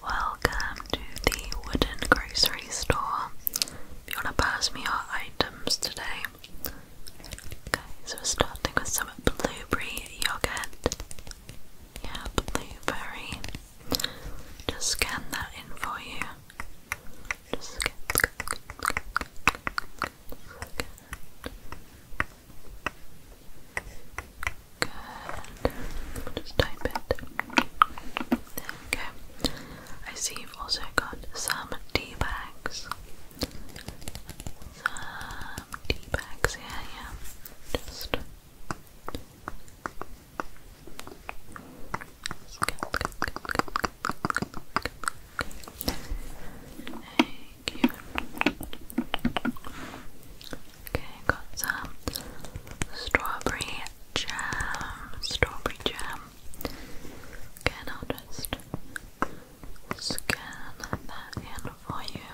Welcome to the wooden grocery store. If you want to pass me your items today. Okay, so we're starting with some blueberry yogurt. Yeah, blueberry. Just scan that in for you. Just type it. There I see you've also got some tea bags. Some tea bags here, yeah. Just. Okay, got some strawberry jam. Strawberry jam. Okay, I'll just scan that in for you.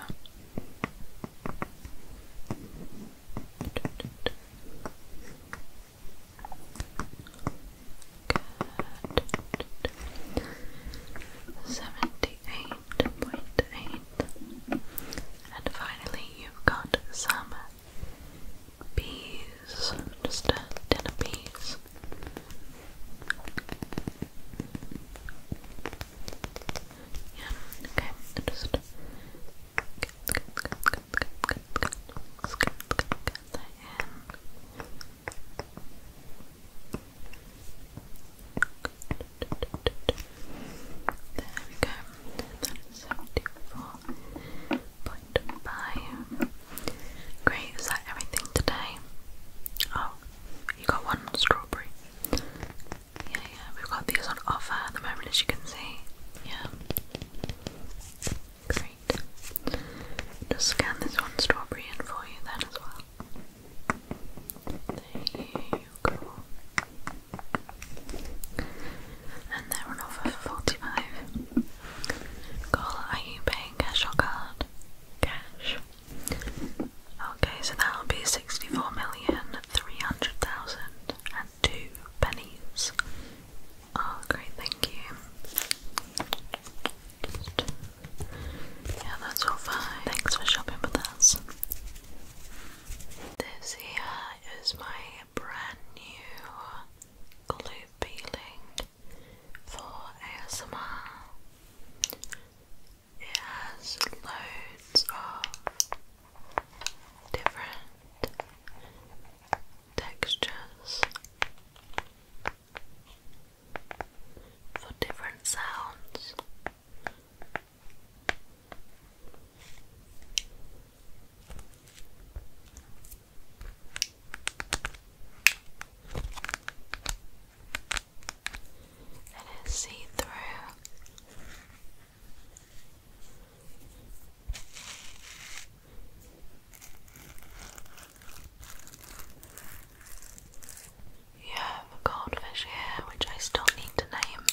Good. Seventy-eight point eight and finally, you've got some peas, just a tin peas. Yeah, okay, just that in. Good. There we go. That is 74.5. Great, is that everything today? Oh, you got one strawberry. Yeah, yeah, we've got these on offer at the moment, as you can see. Yeah. Great. Just scan this one strawberry in for you then as well. There you and they run off for 45. Girl, are you paying cash or card? Cash. Okay, so that'll be sixty-four million three hundred thousand and two pennies. Oh great, thank you. yeah, that's all fine. Thanks for shopping with us. This here is my brand new glue peeling for ASMR. It has loads of different textures for different sounds. It is see through. You have a goldfish here, which I still need to name.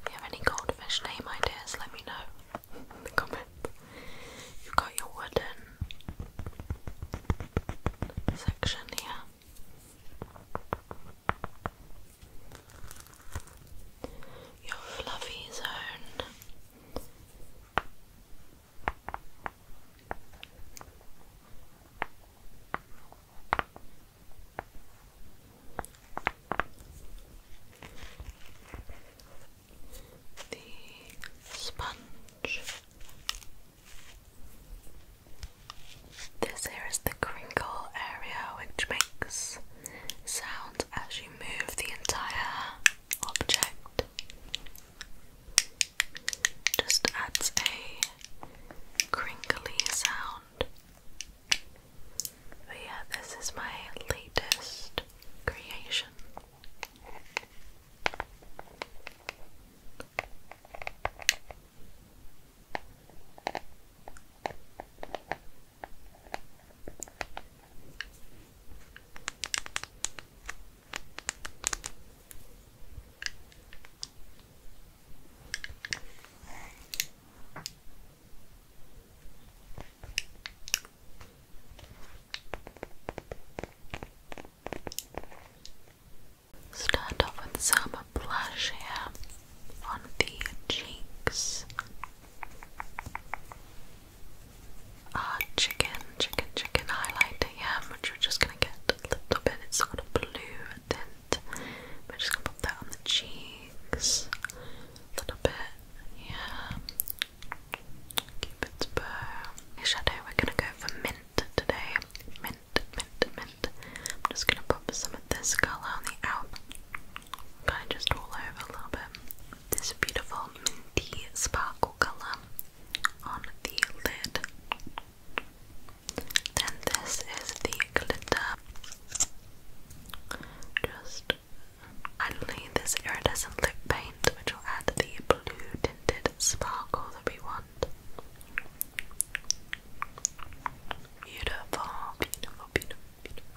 If you have any goldfish name ideas, let me know in the comments. You've got your wooden section here. Your fluffy zone the sponge. This here is the crinkle area which makes sound as you move the entire object. Just adds a crinkly sound but yeah, this is my latest creation. Start off with some blush here on the cheeks. Ah, chicken, chicken, chicken highlighter, which we're just gonna get a little bit. It's sort of blue, and then but just gonna put that on the cheeks a little bit. Yeah. Cupid's bow. Shadow, we're gonna go for mint today. Mint, mint, mint. I'm just gonna pop some of this colour on the out. Kind of just all over a little bit. This beautiful minty sparkle colour on the lid. Then this is the glitter. Just only this iridescent lip paint, which will add the blue tinted sparkle that we want. Beautiful, beautiful, beautiful, beautiful.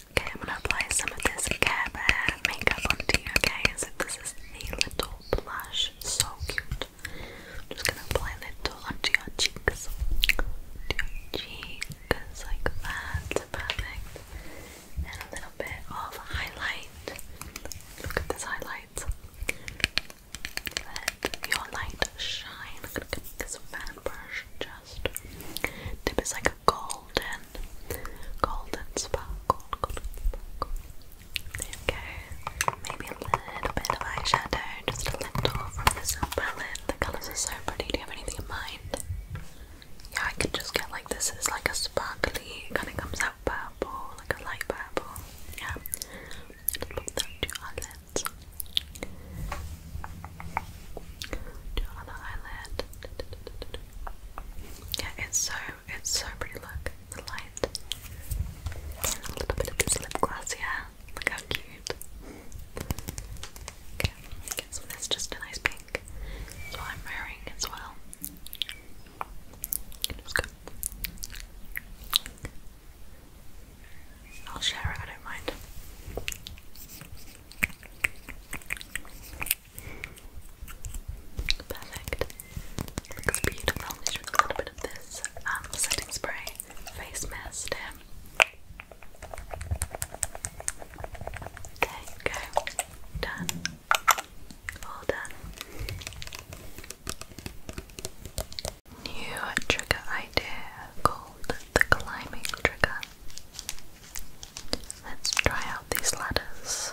Okay, I'm gonna apply some of this Care Bear makeup onto you, okay? So this is the little blush, so cute. just gonna apply little onto your cheeks. Onto your cheeks, like that. Perfect. And a little bit of highlight. Look at this highlight. Let your light shine. I'm gonna get this fan brush, just tip is like golden, golden sparkle, golden Maybe a little bit of eyeshadow, just a little from this palette. The colours are so pretty. Do you have anything in mind? Yeah, I could just get like this. It's like a sparkly, kind of comes out purple, like a light purple. Yeah. Just put that to our lids. To our other eyelid. Yeah, it's so it's so pretty. Look, the light and a little bit of this lip gloss Yeah, Look how cute. Okay, okay, so that's just a nice pink. That's I'm wearing as well. It good. I'll share it. I don't mind. Perfect. Looks beautiful. Just with a little bit of this um, setting spray face mist here. go. Done. All done. New trigger idea called the climbing trigger. Let's try out these letters.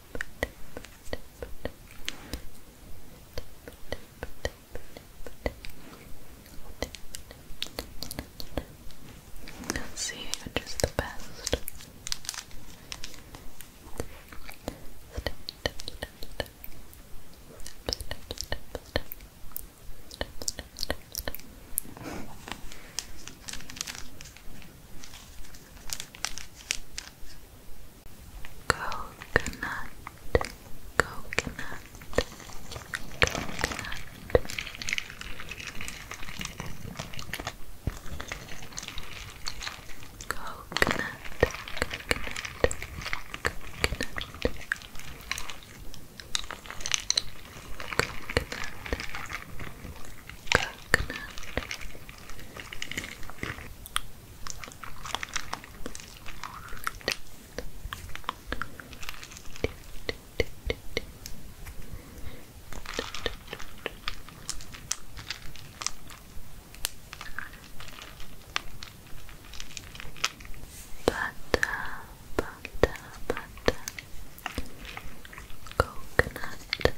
let you see which the best. Coconut, coconut, coconut. Coconut, coconut, coconut. Butter, butter, butter, coconut,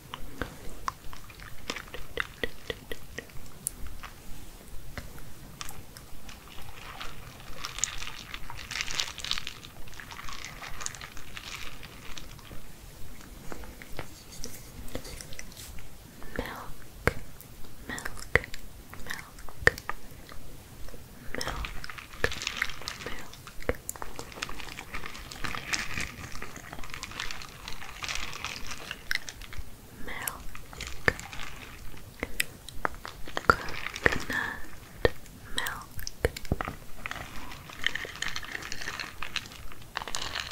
Milk, milk, milk, milk, milk milk, coconut milk, coconut milk. Coconut milk,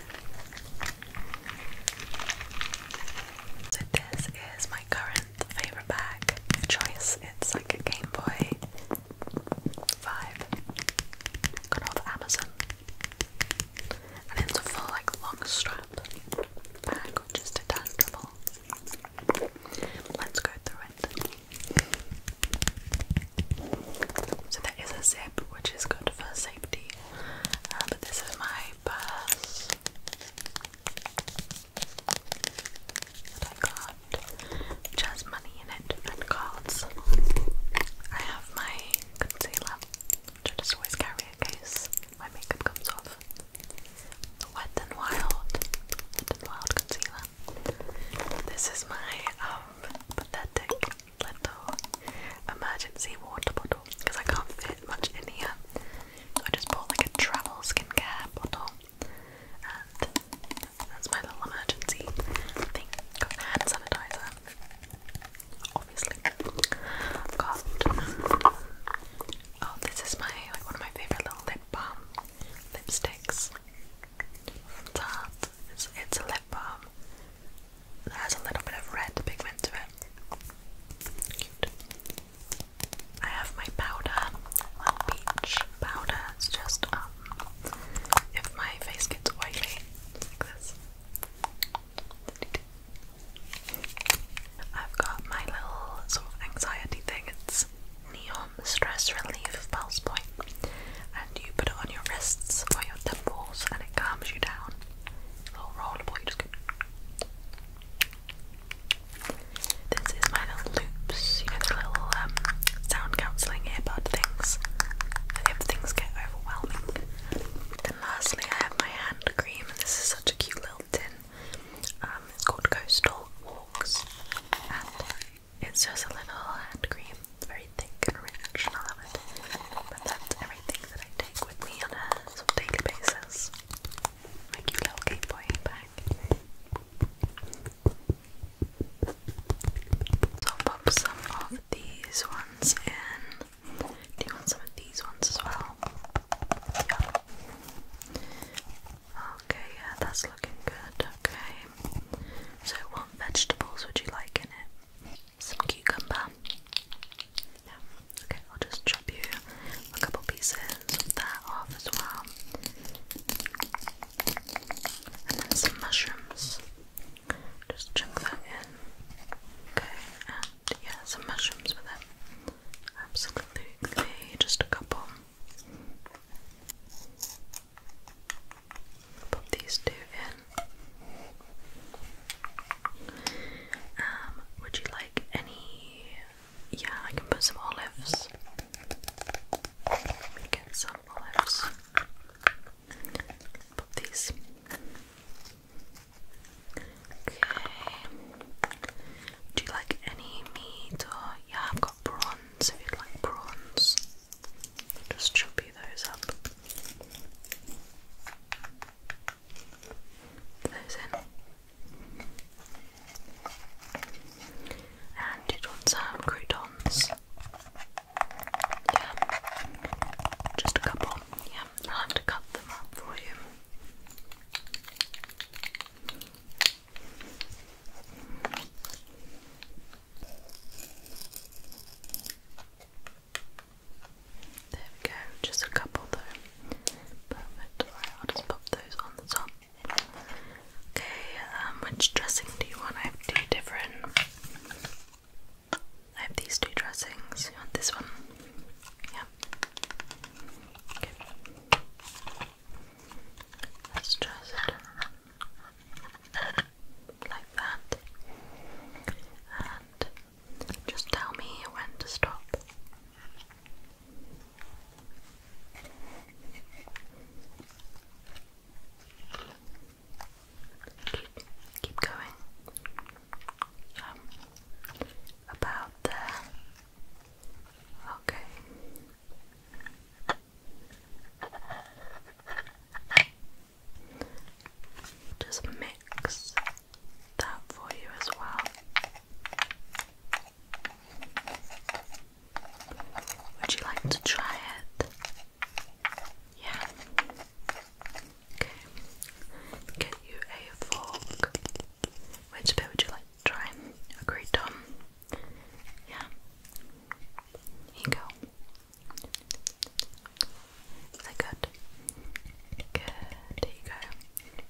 So this is my current favourite bag choice. It's like a Game Boy vibe. Got off Amazon. And it's a full like long strap bag, which is detachable. Let's go through it. So there is a zip, which is good for safety. Uh, but this is my purse that I got, which money in it and cards. I have my concealer, which I always carry in case my makeup comes off. The Wet n Wild, Wet n Wild concealer. This is my um pathetic little emergency water bottle because I can't fit much in here. I just bought like a travel skincare bottle, and that's my little emergency thing. hand sanitizer, obviously. Got oh, this is my like one of my favorite little lip balm lipsticks from Tarte. it's a lip balm that has a little bit of red pigment to it. I have my powder, well, peach powder. It's just um, if my face gets oily, like this. I've got my little sort of anxiety thing. It's neon stress relief pulse point, and you put it on your wrists or your temples, and it calms you down. little rollable, you just this is my little loops, you know, the little um, sound counselling earbud things. If things get overwhelming. Then lastly, I have my hand cream, and this is such a cute little tin. Um, it's called Coastal Walks, and it's just a little hand cream, very thick and rich, and I love it. But that's everything that I take with me on a on a daily basis. My cute little Game Boy bag. So i some of these ones in. Do you want some of these ones as well? Yeah. Okay, yeah, that's looking good. Okay. So what vegetables would you like in it? Some cucumber. Yeah, Okay, I'll just chop you a couple pieces of that off as well. And then some mushrooms. Just chuck that in. Okay, and yeah, some mushrooms with it. Absolutely, just a couple. Put these two in. Um, would you like any. Yeah, I can put some olives. Let me get some olives. Put these. Okay. Do you like any meat or yeah, I've got prawns if you like prawns. Just choppy those up those in. And did want some croutons. Yeah. Just a couple. Yeah, I'll have to cut them up for you. There we go, just a couple though. Perfect. I'll just pop those on the top. Okay, um, which dressing do you want? I have two different. I have these two dressings. You want this one? Yeah. Okay. Let's just like that. And just tell me when to stop. Keep, going. Um, about there. Okay. Just mix that for you as well. Would you like to try it? Yeah. Okay. Get you a fork. Which bit would you like try? A great Yeah. Here you go. Is that good? Good. There you go.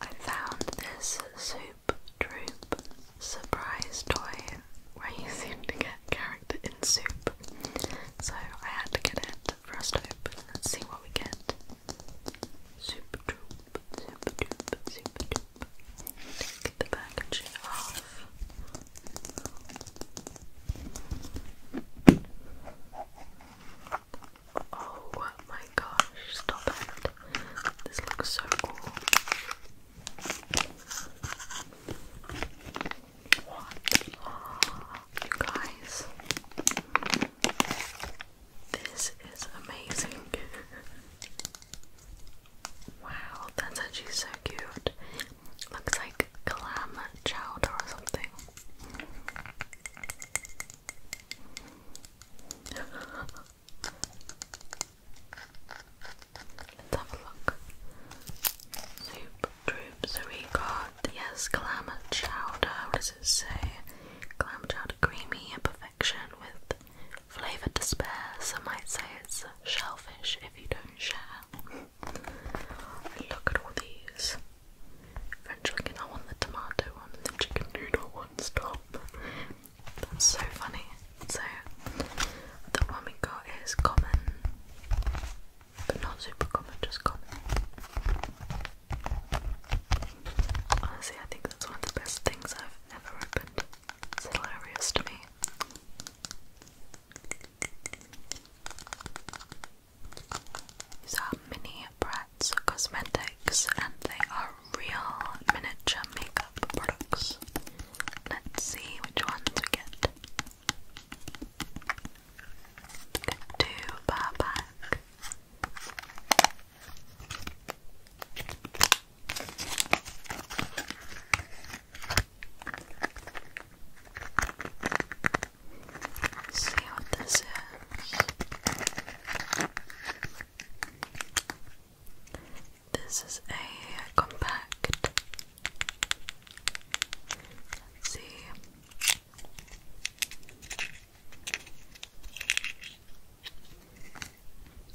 I found this Soup Troop surprise toy where you seem to get character in soup, so I had to get it 1st us to Let's see what we get. Soup Troop, Soup Troop, Soup Troop. Take the packaging off. Oh my gosh, stop it. This looks so cool. What? you guys. This is amazing. wow, that's actually so cute. Looks like clam chowder or something. Let's have a look. Soup, droop, so yes, clam chowder. What does it say? Clam chowder creamy perfection with flavour despair. Some might say it's shellfish if you don't share look at all these. Eventually, I want the tomato one and the chicken noodle one. Stop. That's so funny. So, the one we got is common, but not super common, just common. Honestly, I think that's one of the best things I've ever opened. It's hilarious to me. These are mini Bratz cosmetics and they are real miniature makeup products. Let's see which ones we get. Get two bar pack. Let's see what this is. This is a compact. Let's see.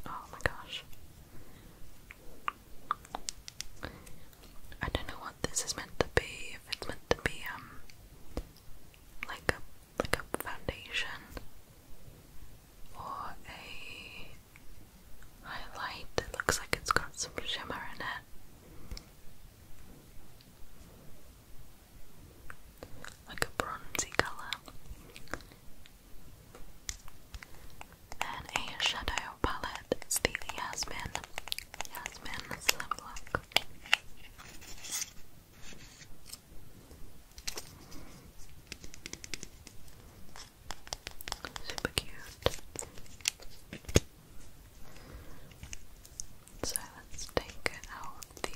Oh my gosh. I don't know this is meant to be, if it's meant to be um like a like a foundation or a highlight that looks like it's got some shimmer in it. Like a bronzy colour. Then a shadow palette, it's the Yasmin. Yasmin, look look. Super cute. So let's take out the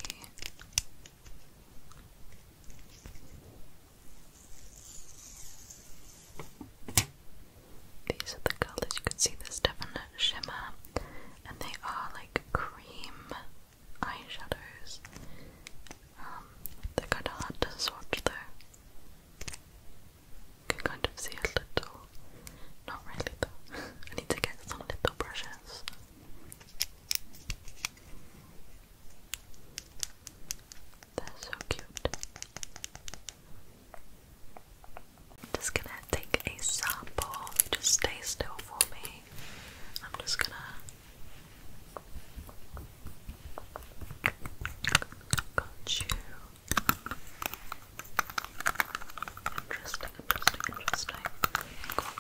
these are the colors you can see there's definite shimmer and they are like cream eyeshadows. Um, they're swatch though. can kind of see a little, not really though. I need to get some little brushes. They're so cute just gonna take a sample. Just stay still for me. I'm just gonna. Got you. Interesting, interesting, interesting.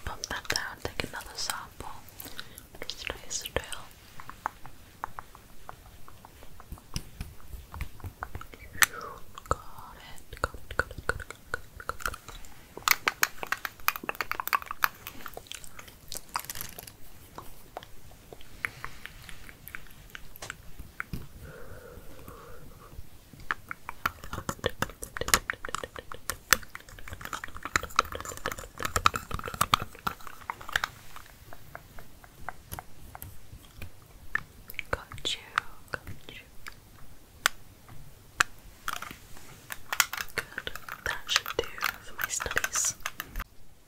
pump that down, take another sample. Just stay still. Got it, got it, got it, got it, got you, got you, Good, that should do for my studies.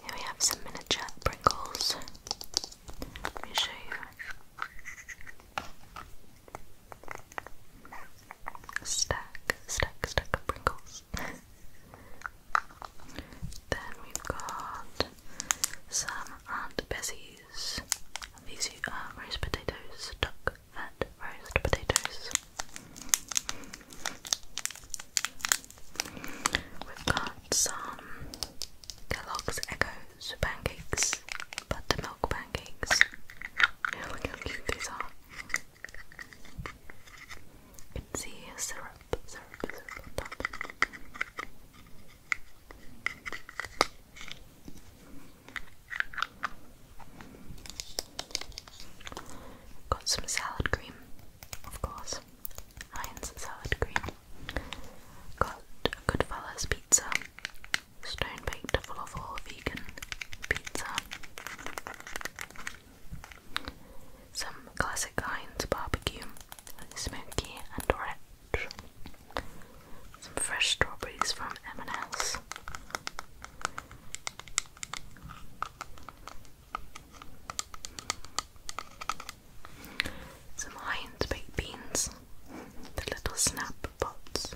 Here we have some miniature Pringles. Let me show you. Stack, stack, stack of Pringles. then we've got some Aunt Bessie's these. are uh, roast potatoes, duck fat roast potatoes. We've got some Kellogg's Echoes pancakes, buttermilk pancakes. look how cute these are. You syrup, syrup, syrup on top. Got some salad cream, of course. Heinz salad cream. Got Goodfellas pizza. Stone baked falafel vegan pizza. Some classic Heinz barbecue, smoky and rich. Some fresh strawberries from M&S. Some Heinz baked beans, the little snap pots.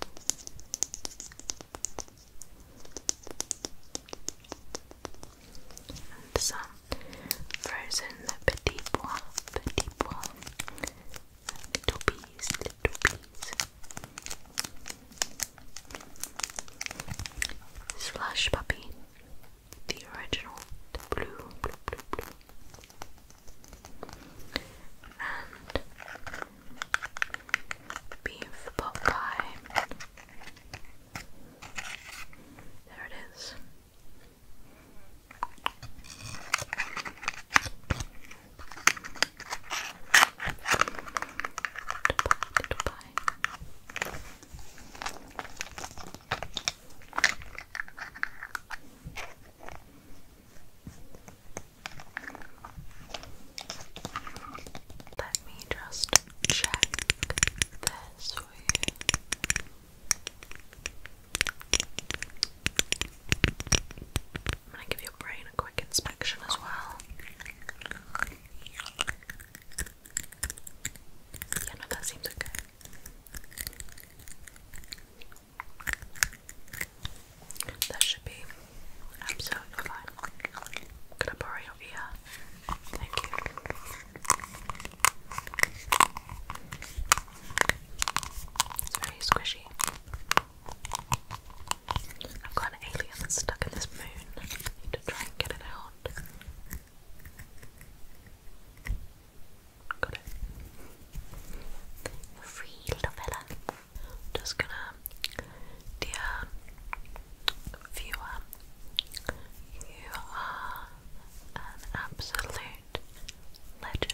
And some frozen petit pois Little bees, little bees. Slush puppy. The original. The blue, blue, blue, blue. And beef pot pie. There it is. Little Let me just check this for you. I'm gonna give your brain a quick inspection as well. Yeah, that seems okay. That should be absolutely fine. Could I borrow your ear? Thank you. It's very squishy. I've got an alien stuck in this moon. need to try and get it out. Got it. free, little fella. Just gonna, dear viewer, you are an absolute legend.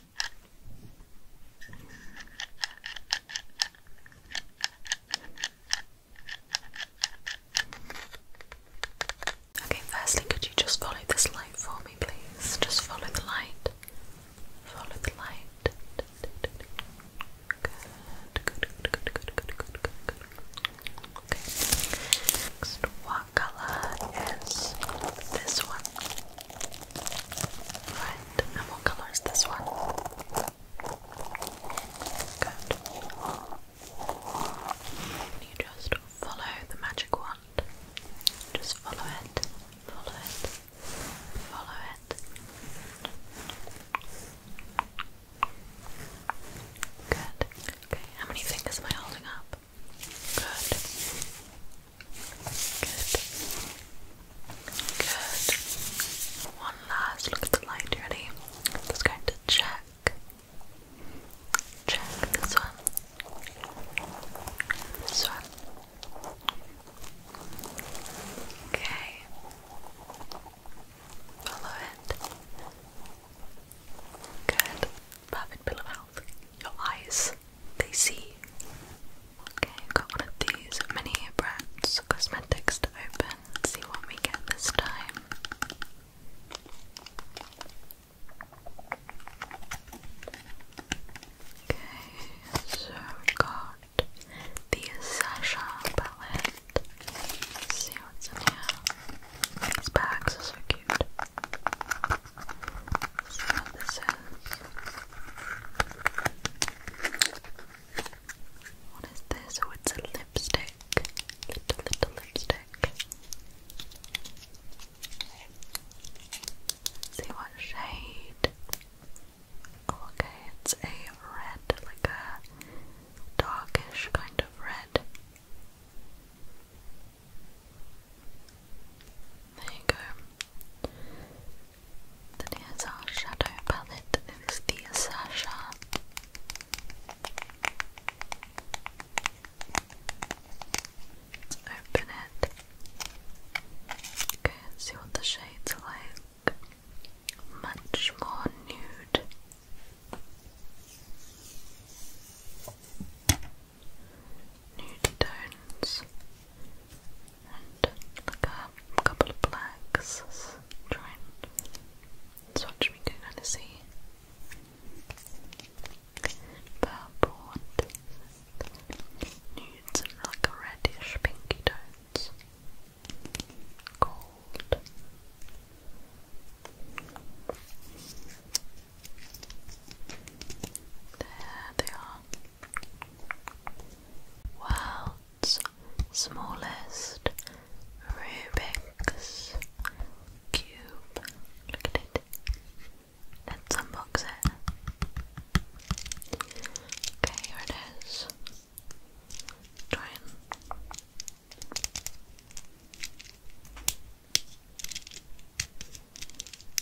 Okay, firstly, could you just follow this light for me, please? Just follow the light. Follow the light. Good, good, good, good, good, good, good, good, Okay. Next, what color is this one? and what colour is this one? Good. You just follow the magic wand. Just follow it, follow it, follow it. Good. Okay, how many fingers am I holding up? Good. Good. One last look at the light, ready? just going to check. Check this one. This one. Okay. Follow it. Good. Perfect pillow health. Your eyes they see. Okay, got one of these mini Bratz cosmetics to open, see what we get this time. Okay, so we got the Sasha palette. see what's in here. These bags are so cute. see what this is. What is this? Oh, it's a lipstick. Little, little lipstick. see what shade. Oh, okay, it's a red, like a darkish kind of red. There you go. The here's our shadow palette. It is the Sasha. Let's open it. Okay, see what the shades are like. Much more nude. Nude tones and like a couple of blacks try and swatch me can kind of see purple nudes like a reddish pinky tones gold there they are World's smallest Rubik's Cube. Look at it. Let's unbox it. Okay, here it is. Try and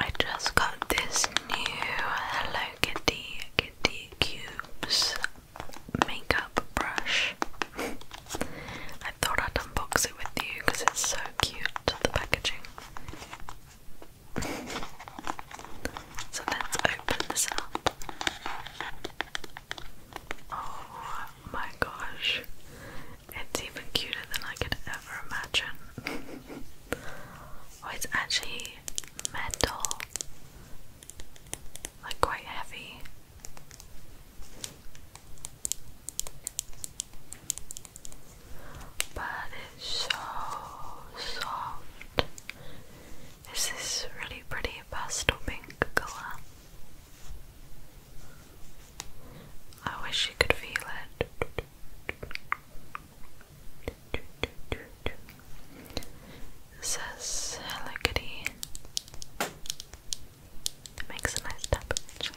I just got this new Hello Kitty Kitty Cubes makeup brush. I thought I'd unbox it with you because it's so cute, the packaging. So let's open this up. Oh my gosh, it's even cuter than I could ever imagine. Oh, it's actually metal, like quite heavy. But it's so soft is this really pretty pastel pink colour. I wish you could feel it. says Hello makes a nice tap actually.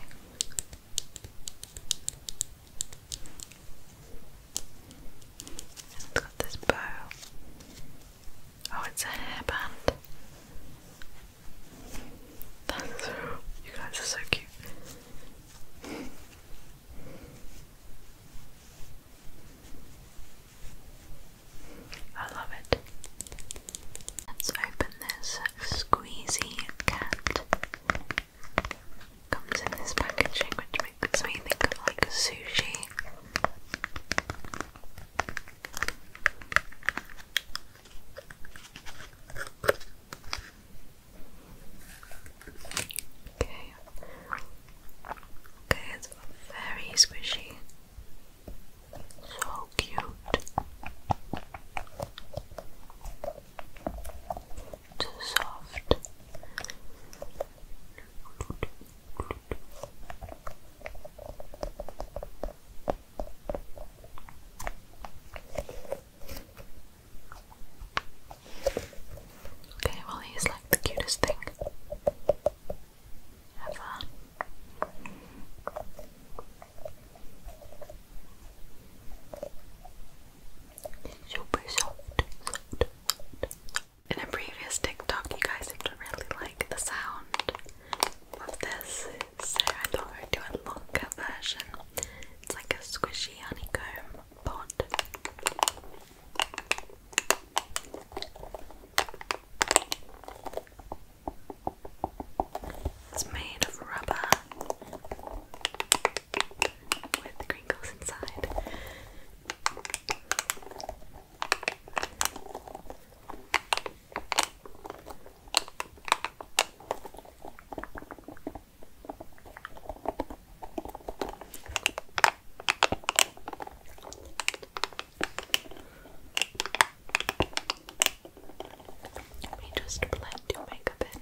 And it's got this bow. Oh, it's a hairband. That's so, you guys are so cute. I love it. Let's open this squeezy cat. Comes in this packaging, which makes me think of like sushi. Okay. Okay, it's very squishy. So cute. So soft. Okay, well, he's like the cutest thing ever. Super soft, in a previous TikTok, you guys seem to really like the sound of this, so I thought I'd do a longer version. It's like a squishy honeycomb pod. It's made of rubber with crinkles inside. Let me just blend your makeup in.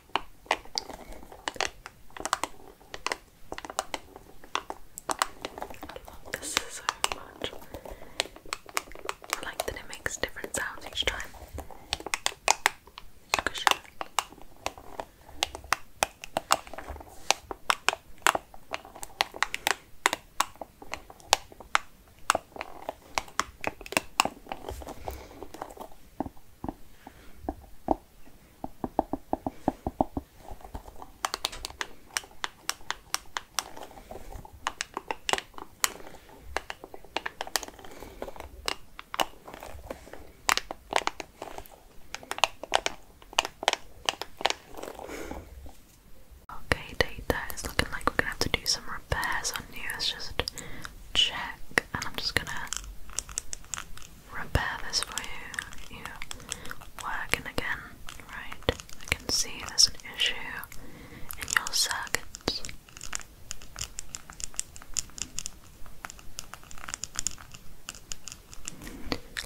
love this so much. I like that it makes different sounds each time. Okay, data, it's looking like we're gonna have to do some repairs on you. It's just check and I'm just gonna repair this for you. You working again, right? I can see there's an issue in your circuits.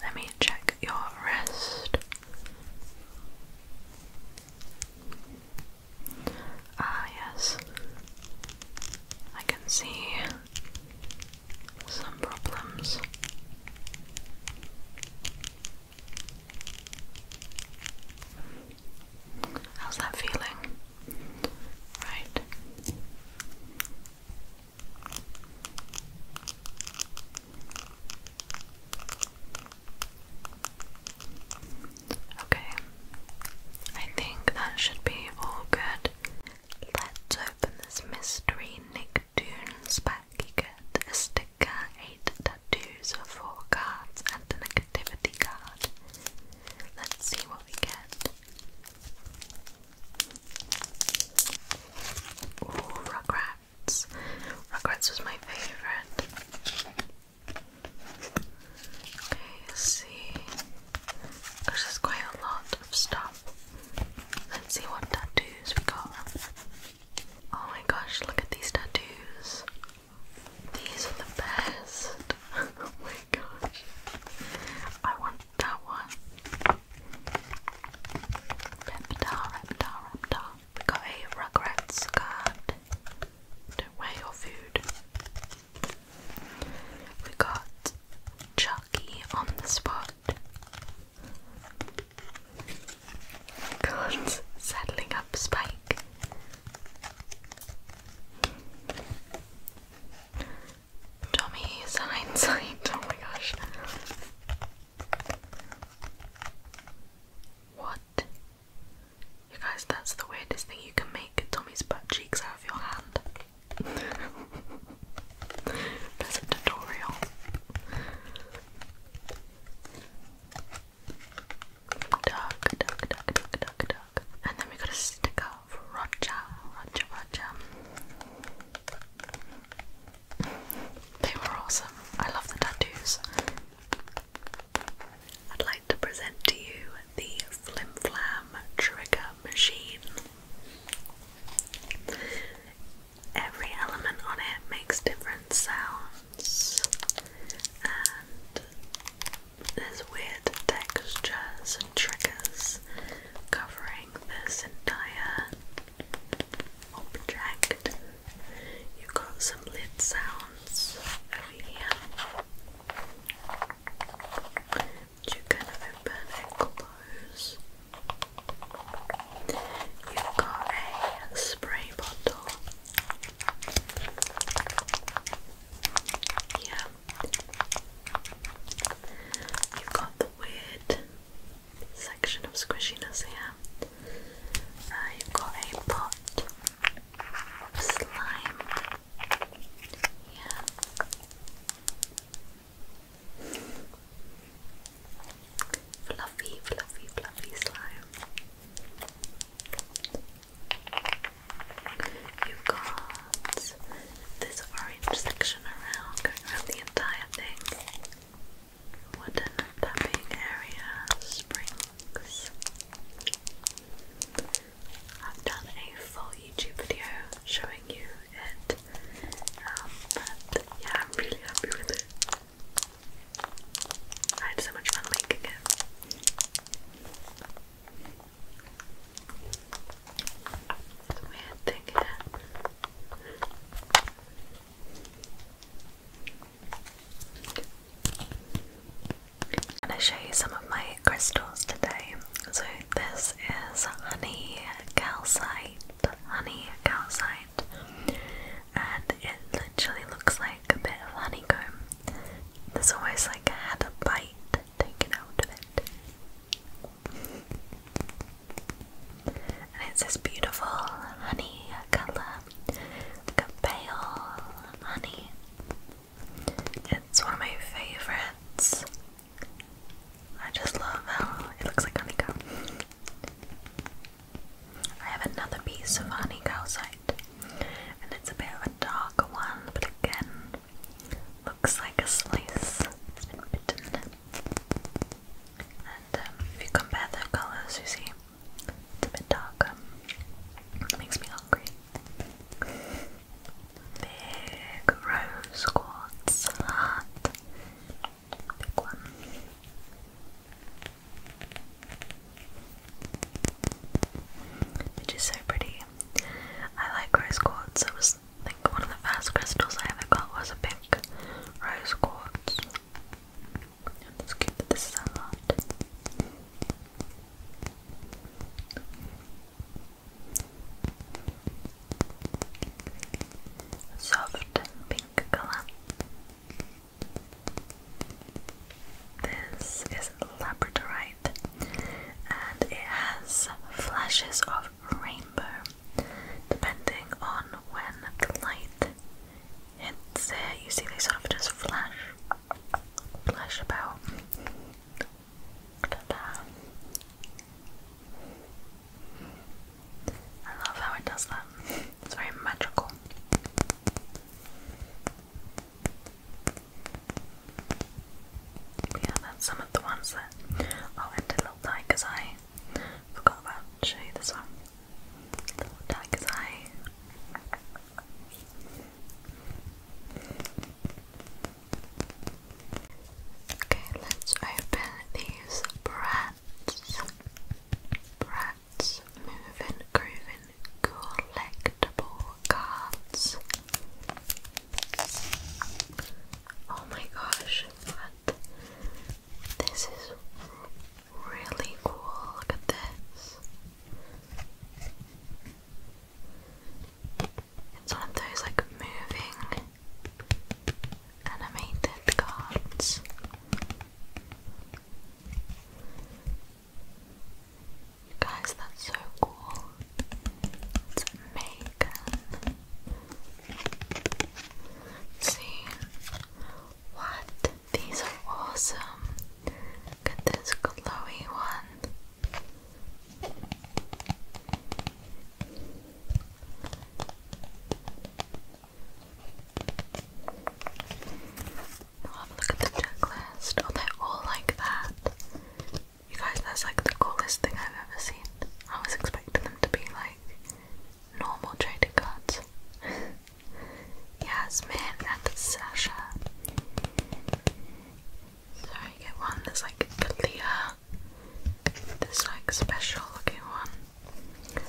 Let me check your wrist. Ah, yes. I can see some problems. How's that feeling? Right. Okay, I think that should be all good. Let's open this mystery Nick Nicktoons pack. You get a sticker, eight tattoos, four cards, and a negativity card. Let's see what we get. Ooh, regrets. Rugrats was my favourite. Okay, let's see. Because there's quite a lot of stuff. Let's see what tattoos we got. Oh my gosh, look at these tattoos. These are the best. oh my gosh. I want that one. Reptar, reptar, reptar. We got a Rugrats card. do your food. We got Chucky on the spot. God's saddling up Spike. Tommy's hindsight. Oh my gosh. What? You guys, that's the weirdest thing you can make Tommy's butt cheeks out of your hand. There's a tutorial. Duck, duck, duck, duck, duck, duck. And then we got a sticker for Roger, Roger, Roger. They were awesome. I love the tattoos. I'd like to present to you the Flim Flam Trigger Machine. Every element on it makes different sounds and there's weird textures and triggers covering this entire object. You've got some lid sounds over here you kind open and close. You've got a spray bottle. Yeah. You've got the weird section of squishiness here. Uh, you've got a pot of slime. Yeah. Fluffy, fluffy, fluffy slime. You've got this orange section around, going around the entire thing. Wooden tapping area, springs. I've done a full YouTube video showing you it, um, but yeah, I'm really happy with it. I had so much fun making it. weird thing here. I'm going to show you some of my crystals today. So, this is honey calcite. Honey calcite. And it literally looks like a bit of honeycomb. There's almost like I had a bite taken out of it. And it's this beautiful honey colour, like a pale honey. It's one of my favorites. I just love how oh, it looks like honeycomb. I have another piece of honey calcite, and it's a bit of a darker one, but again, looks like a slice. has been bitten. And um, if you compare the colours, you see it's a bit darker. It makes me hungry. Big rose quartz heart. Big one. Which so pretty. I like rose quartz. It was I one of the first crystals I ever got was a pink rose quartz. it's cute that this is a heart soft pink color. This is labradorite and it has flashes of rainbow depending on when the light hits it. You see, they sort of just flash, flash about. I love how it does that. It's very magical. Yeah, that's some of the ones that oh, and a little tiger's eye. Forgot about show you this one. tiger's eye. Okay, let's open these brats. Brats, moving, grooving, collectible cards. Oh my gosh, what? This is really cool. Look at this. It's one of those like moving animated cards. You guys, that's so cool. It's Megan. See? What? These are awesome. Look at this glowy one i oh, have a look at the checklist. Oh, they're all like that. You guys, that's like the coolest thing I've ever seen. I was expecting them to be like normal trading cards. Yasmin and Sasha. So you get one that's like clear, this like special looking one.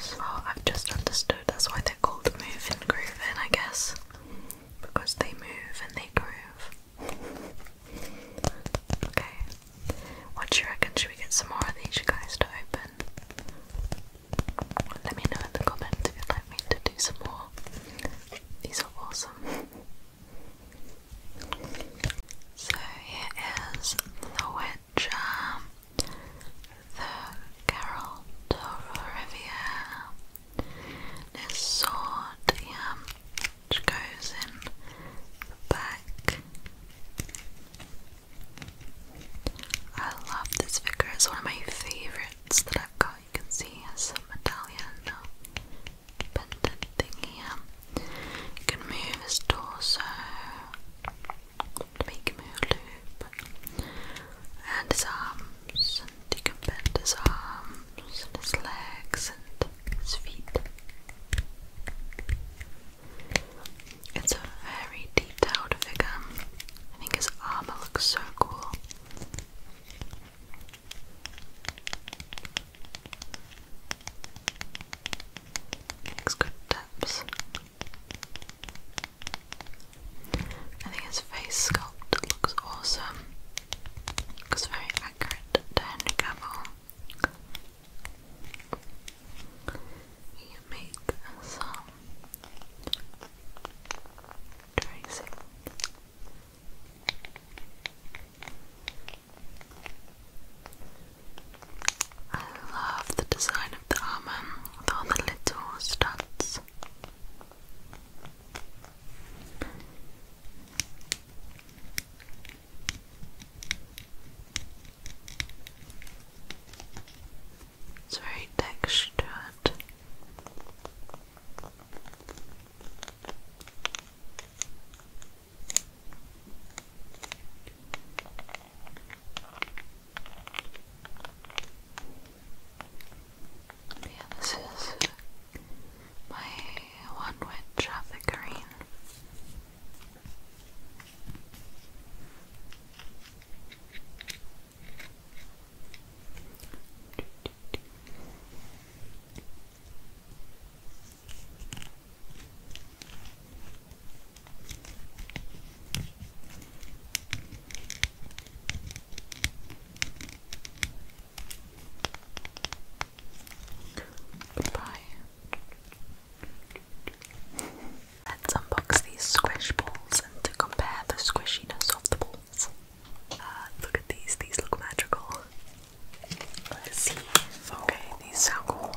So oh, I've just understood that's why they're called move and groove I guess. Because they move and they groove. Okay. What do you reckon? Should we get some more of these guys to open? Let me know in the comments if you'd like me to do some more. These are awesome. So here is the witch um, the Geralt of Rivia, this sword, yeah, which goes in the back. I love this figure, it's one of my favourites that I've got you can see he has some medallion uh, pendant thing here. Um, you can move his torso make him a loop. And his arms, and you can bend his arms, and his legs, and his feet. It's a very detailed figure. I think his armor looks so cool. Makes good tips. I think his face sculpt looks awesome. Looks very accurate to Henry Cavill. We make some tracing. I love the design of the armor with all the little studs. It's very textured. Yeah, this is my one witch of the green. Goodbye. Let's unbox these squish balls and to compare the squishiness of the balls. Uh, look at these, these look magical. Let's see. Okay, these sound cool.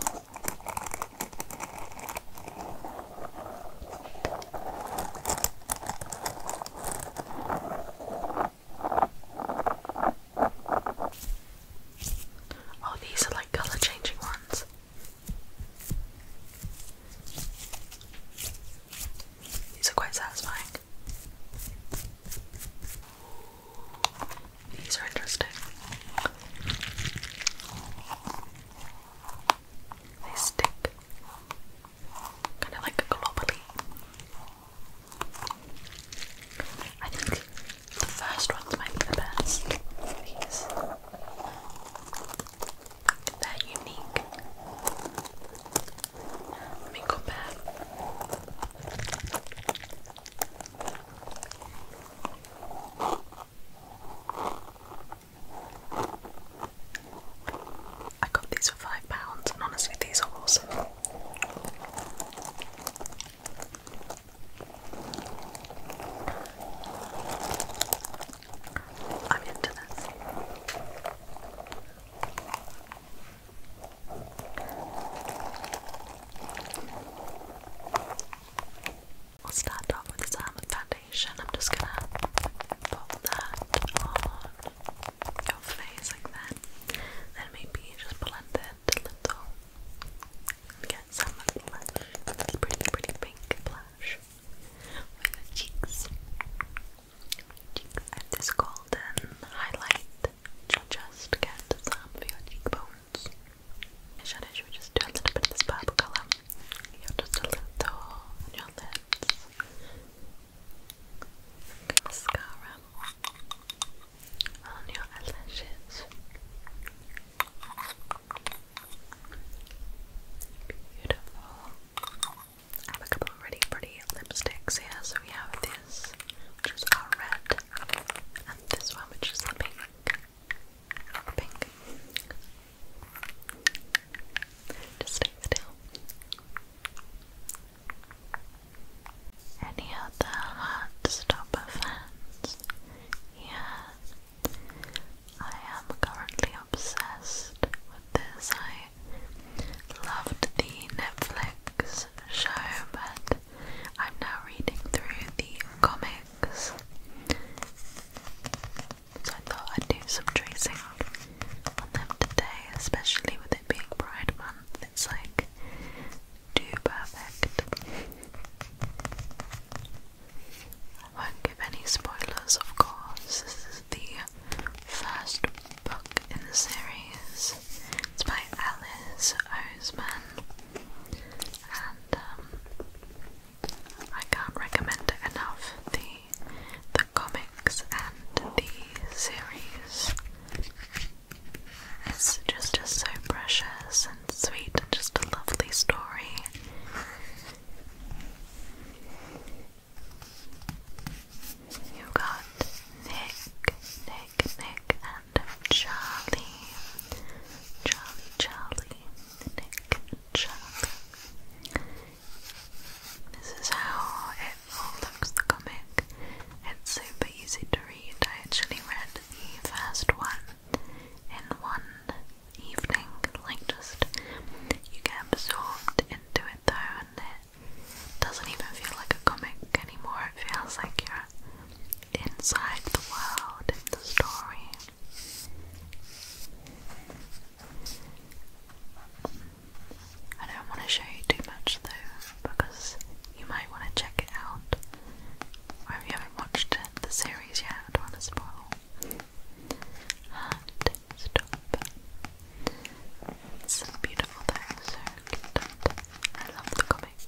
Oh, these are like color changing ones. These are quite satisfying. These are interesting. They stick kind of like a globally. I think the first ones might be the best. These. They're unique. Let I got these for five pounds, and honestly, these are awesome. I'm into this. I'll start off with this um, foundation. I'm just gonna pop that on your face like that. Then maybe just blend it a little. Get some blush. Pretty, pretty pink blush. With the cheeks cheeks. this golden highlight to just get some of your cheekbones. Should I, we just do a little bit this purple colour? You're just a little on your lips. Mascara on your eyelashes. Beautiful. have a couple really pretty lipsticks here. So we have this, which is our red, and this one, which is the pink. Pink. Just stay still. Any other hard stopper fans? Yeah. I am currently obsessed with this. I loved the Netflix show, but I'm now reading through the comics. So I thought I'd do some tracing on them today, especially with it being Pride Month. It's like too perfect. I won't give any spoilers, of course. This is the first book in the series. It's by Alice Oseman, and um, I can't recommend it enough. The the comics and the series. It's just just so precious and sweet, and just a lovely story. You got Nick, Nick, Nick, and Charlie. Charlie, Charlie, Nick, Charlie. This is how it all looks, the comic. It's super easy to read. I actually read the first one in one evening. Like, just you get absorbed into it though, and it doesn't even feel like a comic anymore, it feels like you're inside the world in the story. I don't want to show you too much though, because you might want to check it out. Or if you haven't watched the series yet, I don't want to spoil. And stop. It's a beautiful thing, so I love the comics.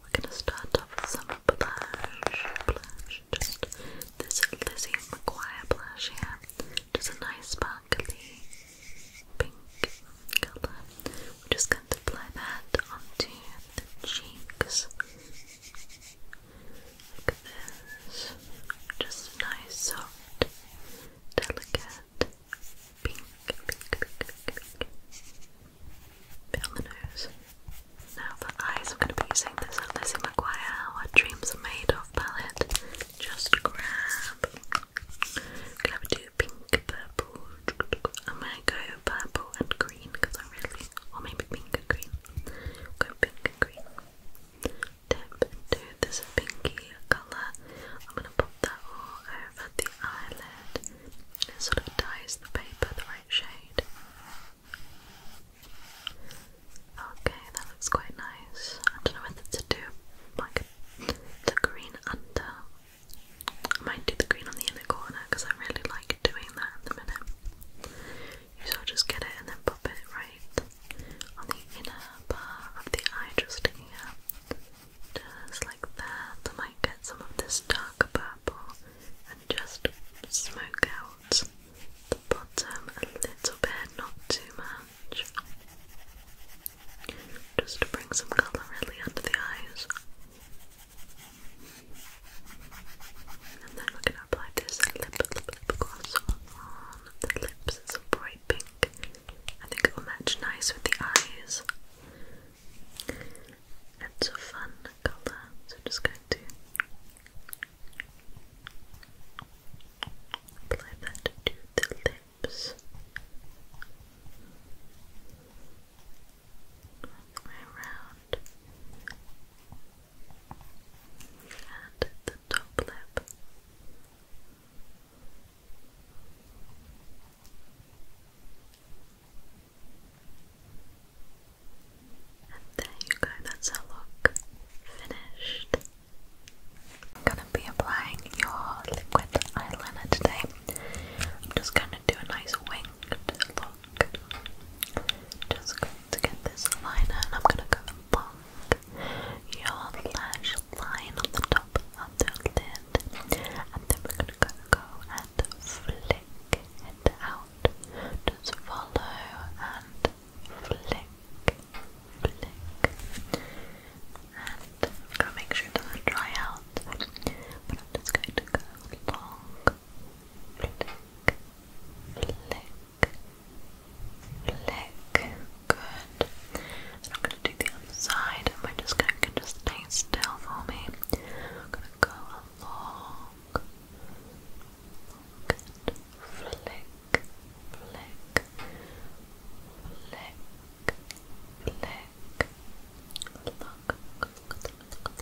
We're going to start off with some blush, blush, just this Lizzie McGuire blush here, just a nice sparkly pink colour just going to apply that onto the cheeks. Like this. Just nice, soft, delicate, pink, pink, Now for eyes, I'm going to be using this Lizzie McGuire What Dreams Are Made Of palette. Just grab. I'm pink, purple. I'm going to go purple and green because I really, or maybe pink and green. Go pink green. Dip into this pinky colour. I'm gonna pop that all over the eyelid. It sort of dyes the paper the right shade. Okay, that looks quite nice. I don't know whether to do like the green under I might do the green on the inner corner because I really like doing that at the minute. You just get it and then pop it right on the inner part of the eye, just sticking Just like that. I might get some of this darker purple and just smoke out the bottom a little bit, not too much. Just to bring some colour really under the eyes. And then we're going to apply this lip, lip, gloss on the lips. It's a bright pink. I think it will match nice with the eyes. It's a fun colour, so just going to apply that to the lips around and the top lip. And there you go, that's our look finished. I'm going to be applying your liquid eyeliner today. I'm just going to do a nice winged look. Just going to get this liner and I'm gonna go along your lash line on the top of and then we're gonna go, and flick it out. Just follow and flick, flick. And i make sure it dry out. But I'm to go along flick, flick, flick. Good. I'm gonna do the other side, and we just gonna just stay still for me. I'm gonna go along, good. Flick, flick, flick, flick. Look,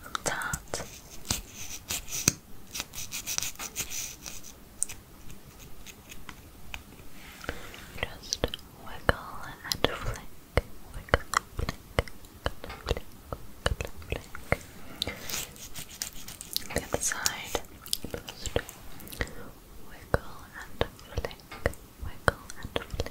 from Tarte. Just wiggle and flick, wiggle, flick, flick, wiggle, side, just wiggle and flick, wiggle and flick,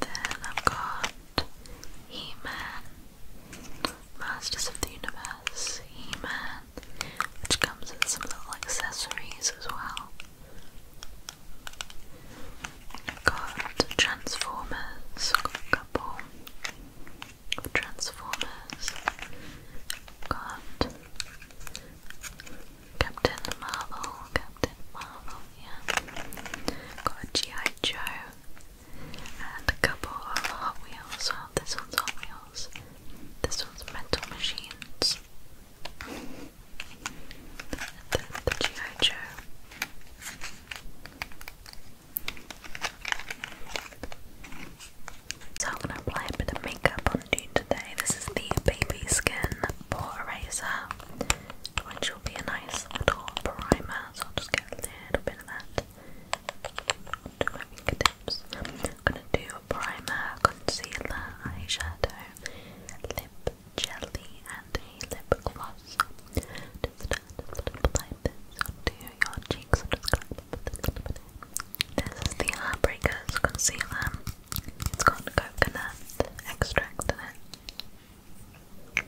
Then I've got He-Man, Masters of the Universe, He-Man, which comes with some little accessories as well. I've got Transformers, got a couple of Transformers. got Captain Marvel, Captain Marvel yeah. Got a G.I. Joe and a couple of Hot Wheels. this one's Hot Wheels, this one's Metal Machines. The, the G.I. Joe. So I'm gonna apply a bit of makeup on today. This is the Baby Skin Eraser which will be a nice little primer, so I'll just get a little bit of that onto my fingertips. I'm gonna do a primer, concealer, eyeshadow, lip jelly, and a lip gloss. Just apply this onto your cheeks. this is the Heartbreakers concealer. It's got coconut extract in it. And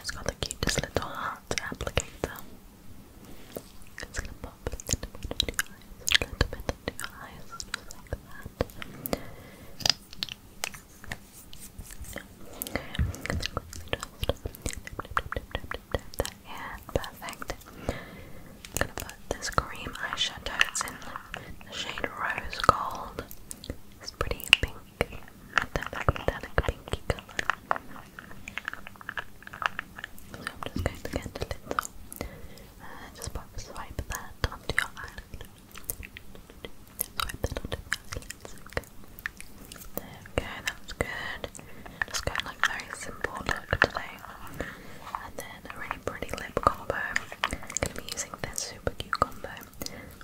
it's got the cutest little heart applicator. It's gonna pop a little bit into your eyes, a little bit into your eyes, just like that. Okay, Perfect. I'm gonna put this cream eyeshadow. It's in the shade Rose Gold. It's pretty pink, that like pinky color. So I'm just going to get the lid off. And just pop swipe that onto your eyelid. Swipe that onto your eyelids. Okay. that was good. Just going like very simple look today. And then a really pretty lip combo. I'm going to be using this super cute combo.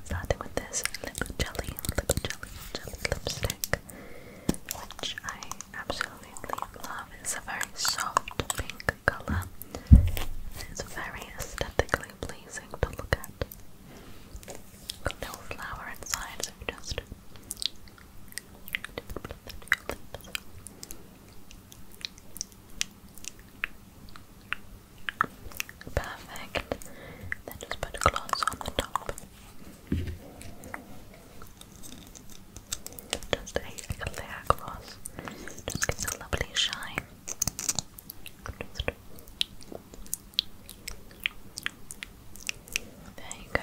Starting with this lip jelly, lip jelly, jelly lipstick, which I absolutely love. It's a very soft pink colour. It's very aesthetically pleasing to look at. Got a flower inside, so just Perfect. Then just put gloss on the top. Just a clear gloss. Just gives a lovely shine. There you go.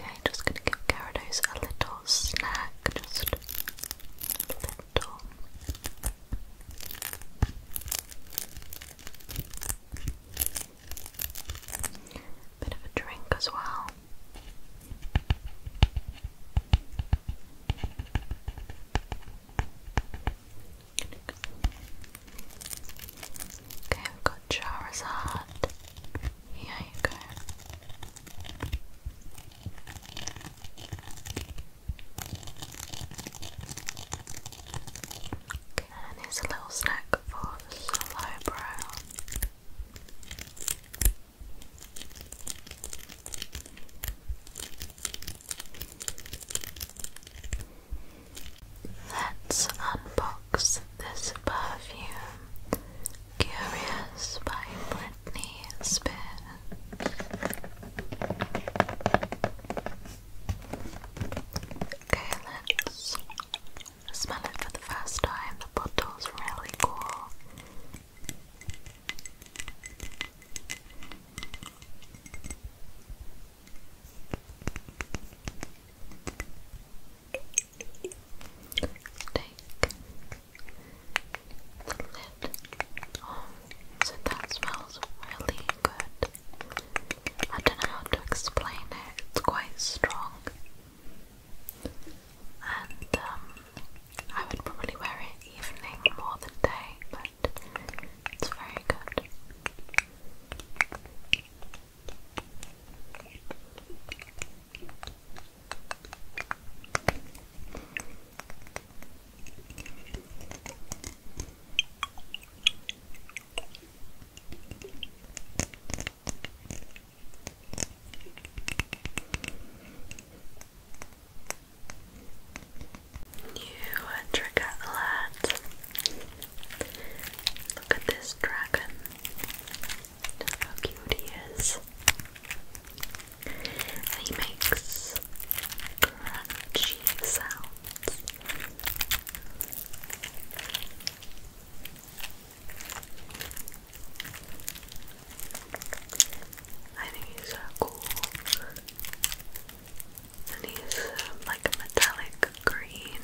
Okay, just going to give Gyarados a little snack, just a little. Bit of a drink as well. Okay, we've got Charizard. Here you go. And it's a little snack for slow brow. Let's unbox this perfume. Curious by Britney Spears. Okay, let's Smell it for the first time, the bottle's really cool. Take the lid off, oh, so that smells really good. I don't know how to explain it, it's quite strong. And um, I would probably wear it evening more than day, but it's very good. You trigger alert. Look at this dragon. how cute he is. he makes crunchy sounds. I think he's so uh, cool. And he's um, like a metallic green.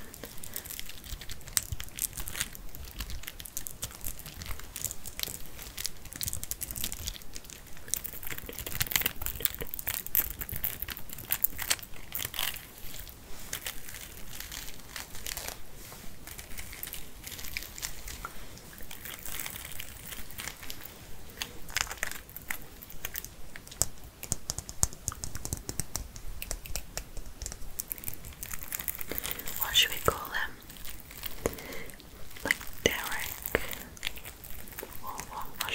What should we call them? Like Derek? Or what?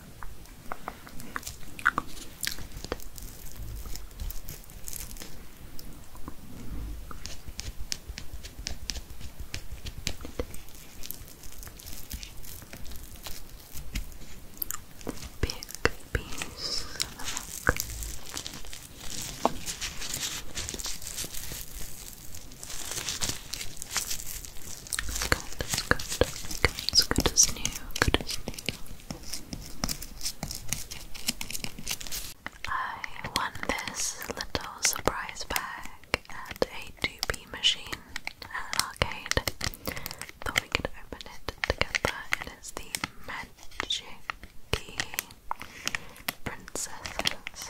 Big piece of milk. It's good, it's good, it's good, as new, good as new. I won this little surprise bag at a 2 machine at an arcade. Thought we could open it together. It is the Magic Princesses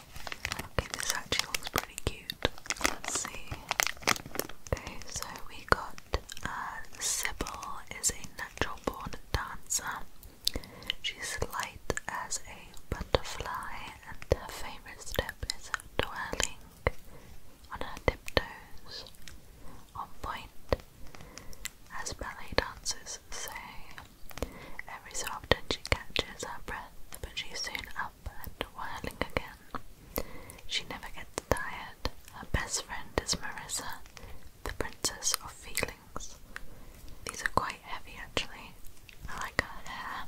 Okay, this actually looks pretty cute. Let's see. Okay, so we got uh, Sybil is a natural born dancer. She's light as a butterfly, and her famous step is twirling on her tiptoes on point, as ballet dancers say. Every so often she catches her breath, but she soon up up whirling again. She never gets tired. Her best friend is Marissa, the princess of feelings. These are quite heavy actually. I like her hair.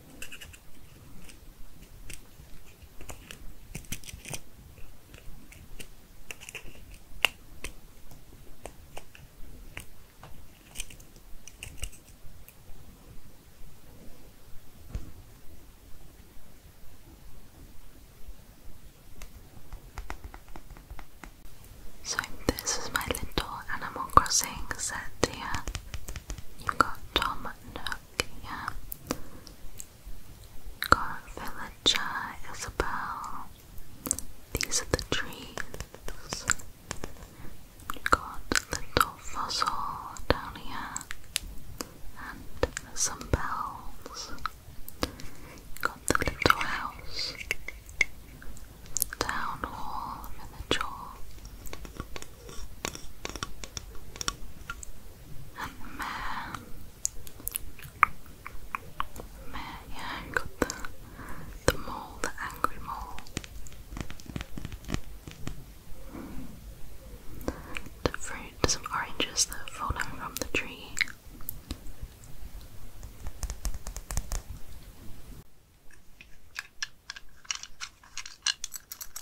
So this is my little Animal Crossing set here. you got Tom book, yeah. Isabel. These are the trees. got a little fossil down here. And some bells. got the little house. Town hall, village hall. And yeah, I got the, the mole, the angry mole. The fruits of oranges that fall down from the tree.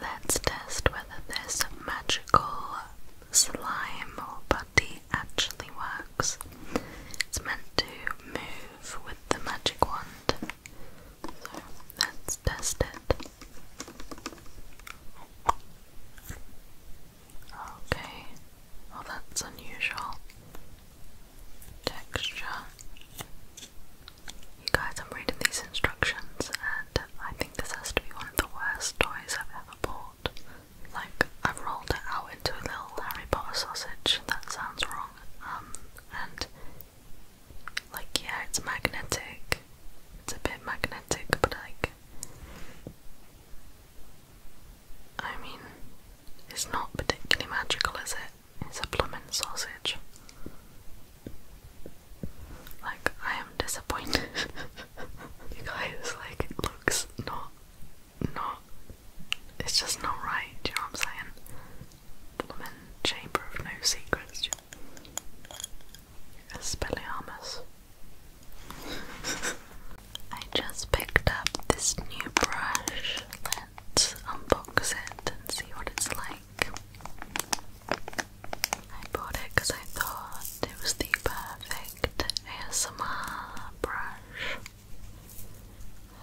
Let's test whether this magical slime or putty actually works. It's meant to move with the magic wand. So let's test it. Okay, well, that's unusual. Texture you guys, I'm reading these instructions, and I think this has to be one of the worst toys I've ever bought. Like, I've rolled it out into a little Harry Potter sausage, that sounds wrong. Um, and, like, yeah, it's magnetic. It's a bit magnetic, but like, I mean, it's not particularly magical, is it? It's a plummin sausage. Like, I am disappointed. you guys, like, it looks not, not, it's just not right, do you know what I'm saying? Plummin Chamber of No Secrets. Espelliarmus. I just picked up this new brush. Let's unbox it and see what it's like. I bought it because I thought it was the perfect ASMR brush.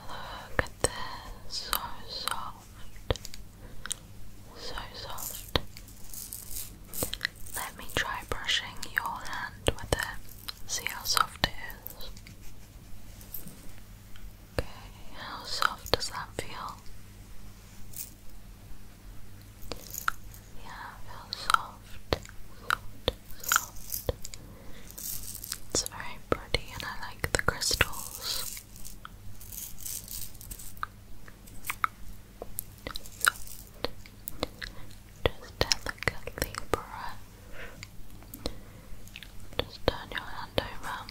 Look at this, so soft, so soft. Let me try brushing your hand with it, see how soft it is. Okay, how soft does that feel? Yeah, feels soft, soft, soft. It's very pretty and I like the crystals. Soft. Just delicately brush. Just turn your hand over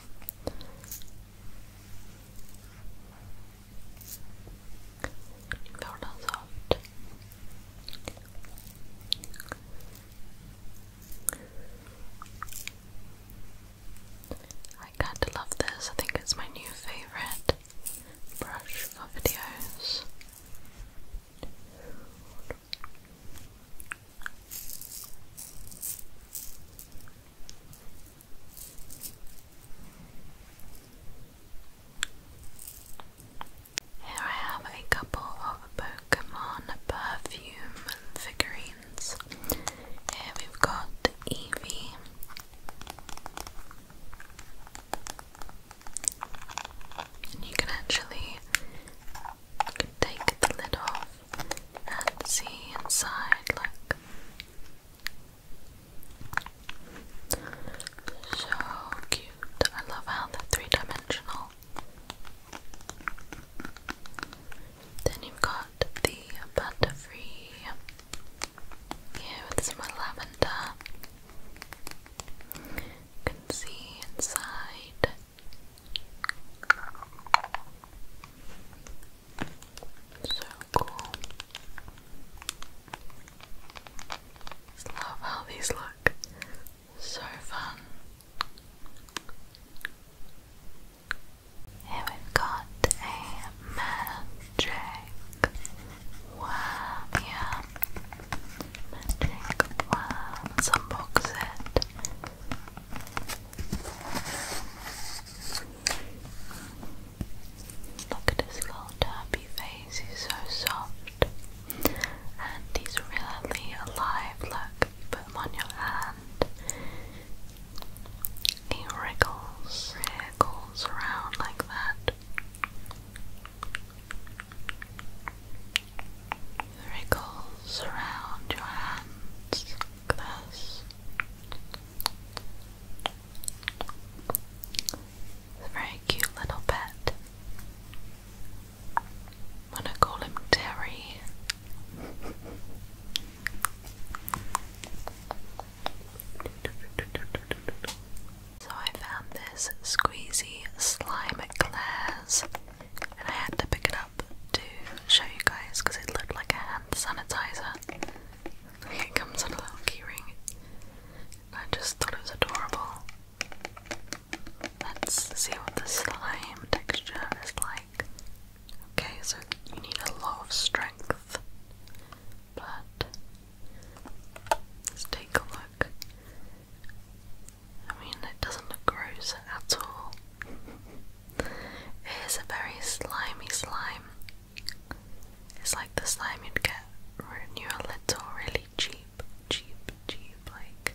I kinda love this. I think it's my new favorite brush for videos. Here I have a couple of Pokemon perfume figurines. Here we've got Eevee. And you can actually take the lid off and see inside. Look. So cute. I love how they three dimensional. Then you've got the butterfree here with some lavender. can see inside. So cool. love how these look. So fun. Here we got a magic worm here. Magic worm. Some box Look at his little derpy face, he's so soft. And he's really alive. Look, put him on your hand. He wriggles, wriggles around like that. Wriggles around your hands this. a very cute little pet. I'm gonna call him Terry. So I found this squeezy slime glass and I had to pick it to show you guys because it looked like a hand sanitizer. It comes in a little keyring. I just thought it was adorable. Let's see what the slime texture is like. Okay, so you need a lot of strength, but let's take a look. I mean, it doesn't look gross at all. It is a very slimy slime. It's like the slime you'd get when you're little, really cheap, cheap, cheap, like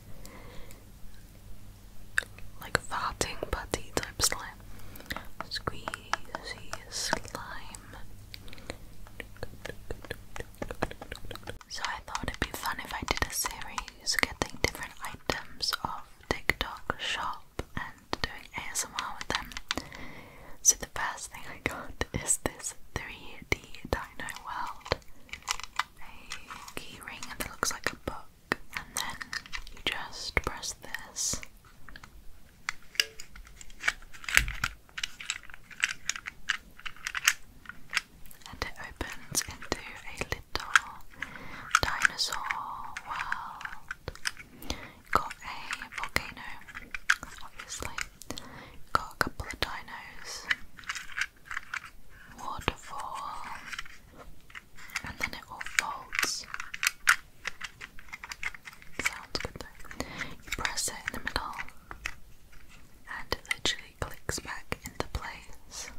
like farting putty type slime. Squeezy slime. So I thought it'd be fun if I did a series getting different items of TikTok shop doing ASMR with them. So the first thing I got is this 3D Dino World. A keyring, ring that looks like a book, and then you just press this. And it opens into a little dinosaur world. Got a volcano, obviously. Got a couple of dinos, waterfall, and then it all folds. Sounds good though. You press it in the middle, and it literally clicks back into place.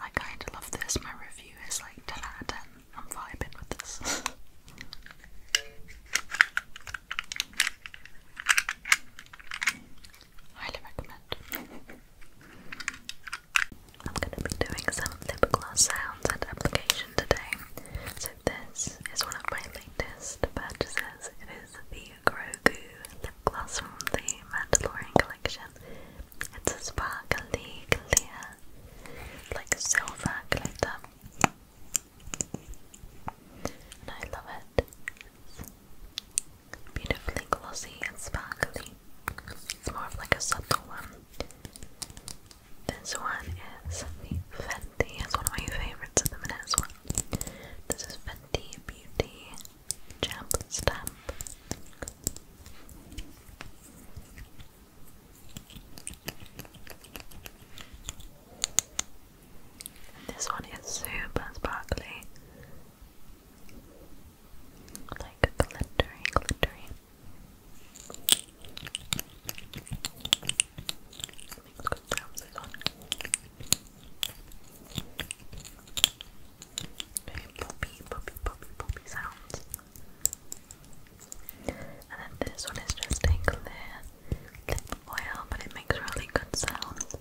I kind of love this. My review is like 10 out of 10. I'm vibing with this. Highly recommend. I'm going to be doing some lip gloss sounds and application today. So, this is one of my latest purchases. It is the Grogu lip gloss from the Mandalorian collection. It's a sparkly clear, like silver glitter. I love it. beautifully glossy and sparkly. It's more of like a subtle one. This one is Fenty. It's one of my favorites at the as well. This is Fenty Beauty Jump stamp. This one is super sparkly. Like glittery, glittery. Very poppy, poppy, poppy, poppy sounds. And then this one is just a clear lip oil, but it makes really good sounds.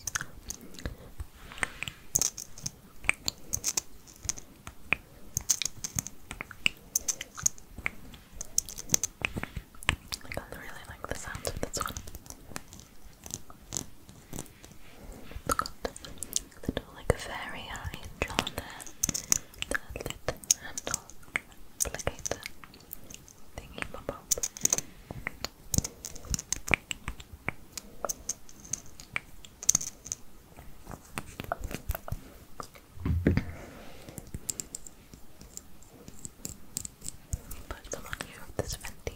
I really like the sounds of this one. It's got little like a fairy I drawn there. The lit handle applicator thingy pop up. Put them on you with this Fenty.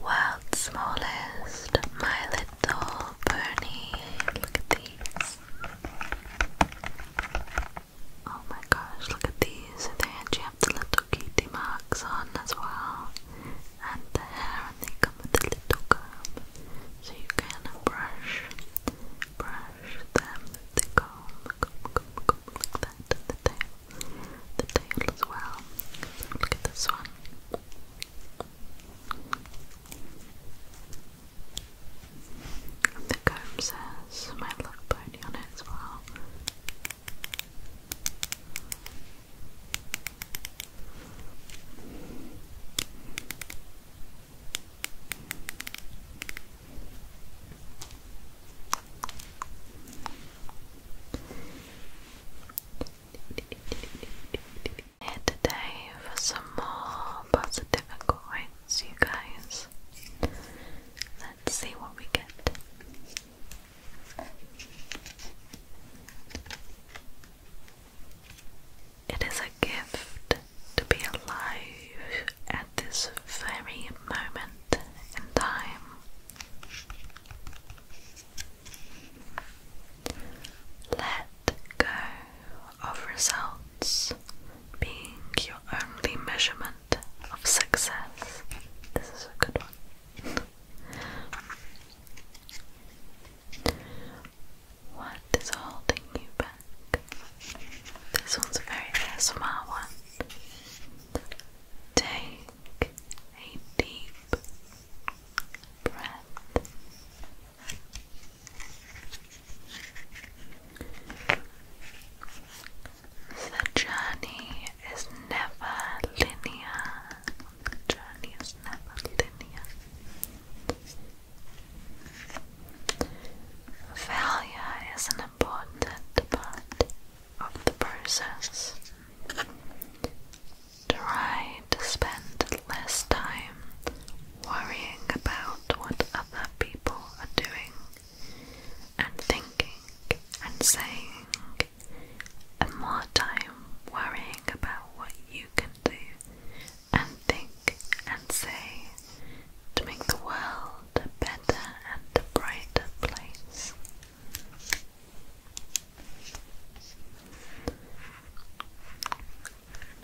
World's smallest, my Little Bernie, look at these. Oh my gosh, look at these. They have the little kitty marks on as well. And the hair, and they come with a little comb. So you can brush, brush them the comb, comb, comb, comb, like that. The tail, the tail as well. look at this one. The comb says my love pony on it as well here today for some more positive accords, you guys. Let's see what we get. It is a gift to be alive at this very moment in time. Let go of results being your only measurement of success. This is a good one. what is holding you back? This one's a very ASMR one. Take a deep breath the journey is never linear. journey is never linear. Failure is an important part of the process. Try to spend less time worrying about what other people are doing and thinking and saying, and more time worrying about what you can do and think and say to make the world a better and a brighter place.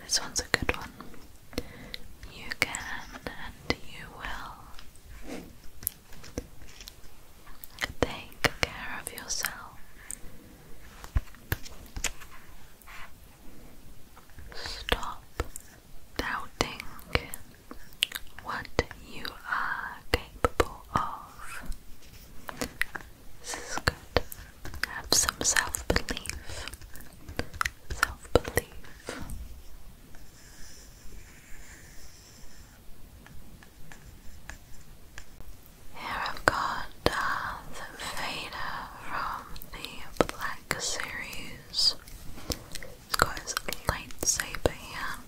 This one's a good one. You can and you will. Take care of yourself. Stop doubting what you are capable of. This is good. Have some self belief. Self belief. Here I've got uh, Vader from the Black series. He's got his lightsaber here.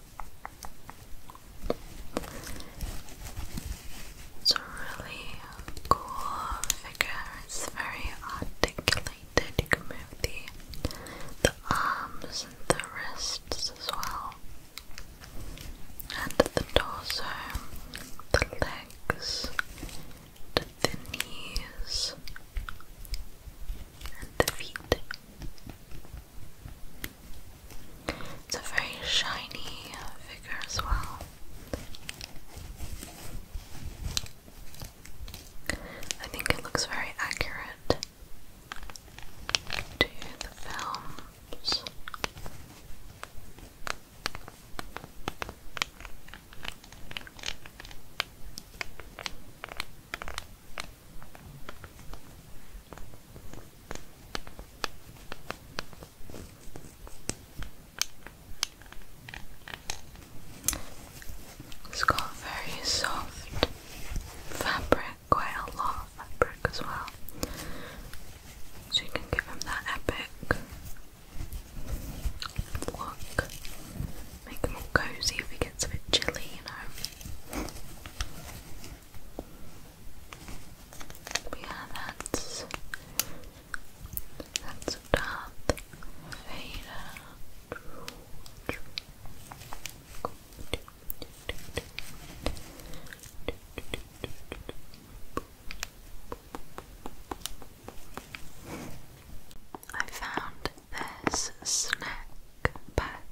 It's a really cool figure. It's very articulated. You the the arms and the wrists as well. And the torso, the legs, the knees, and the feet. It's a very shiny figure as well. I think it looks very accurate to the films. It's got very soft fabric, quite a lot of fabric as well. So you can give him that epic look. Make him all cozy if he gets a bit chilly, you know. yeah, that's that's Darth Vader. I found this snack pack.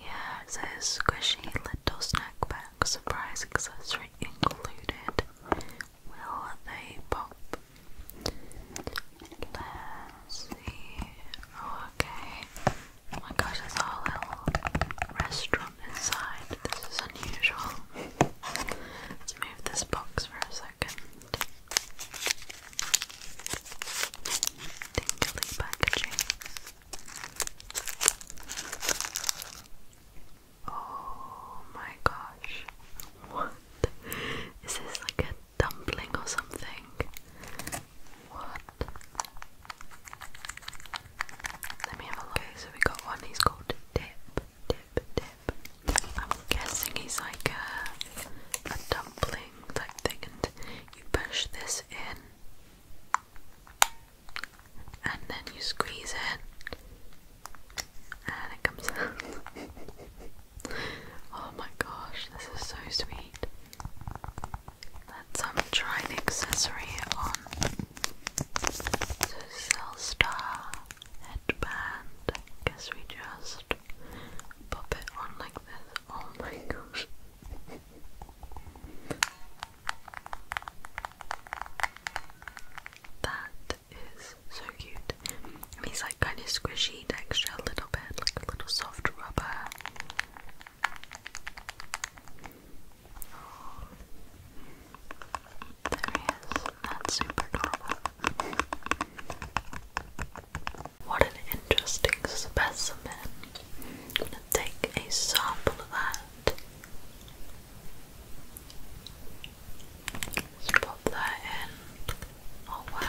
Yeah, it says squishy little snack pack, surprise accessory included will they pop? Let's see. Oh, okay. Oh my gosh, there's a little restaurant inside. This is unusual. Let's move this box for a second. Tingly packaging. Oh my gosh. What? Is this like a dumpling or something? What? Let me have a look. Okay, so we got one, he's called Dip. Dip, Dip. I'm guessing he's like a, a dumpling like thing, and you push this in and then you squeeze it and it comes out. oh my gosh, this is so sweet. Let's um, try the accessory on. So star headband. guess we just pop it on like this. Oh my gosh. That is so cute. I it's like kind of squishy texture a little bit, like a little soft rubber. There he is. That's super adorable. What an interesting specimen. I'm going to take a sample of that. Let's pop that in. Oh wow.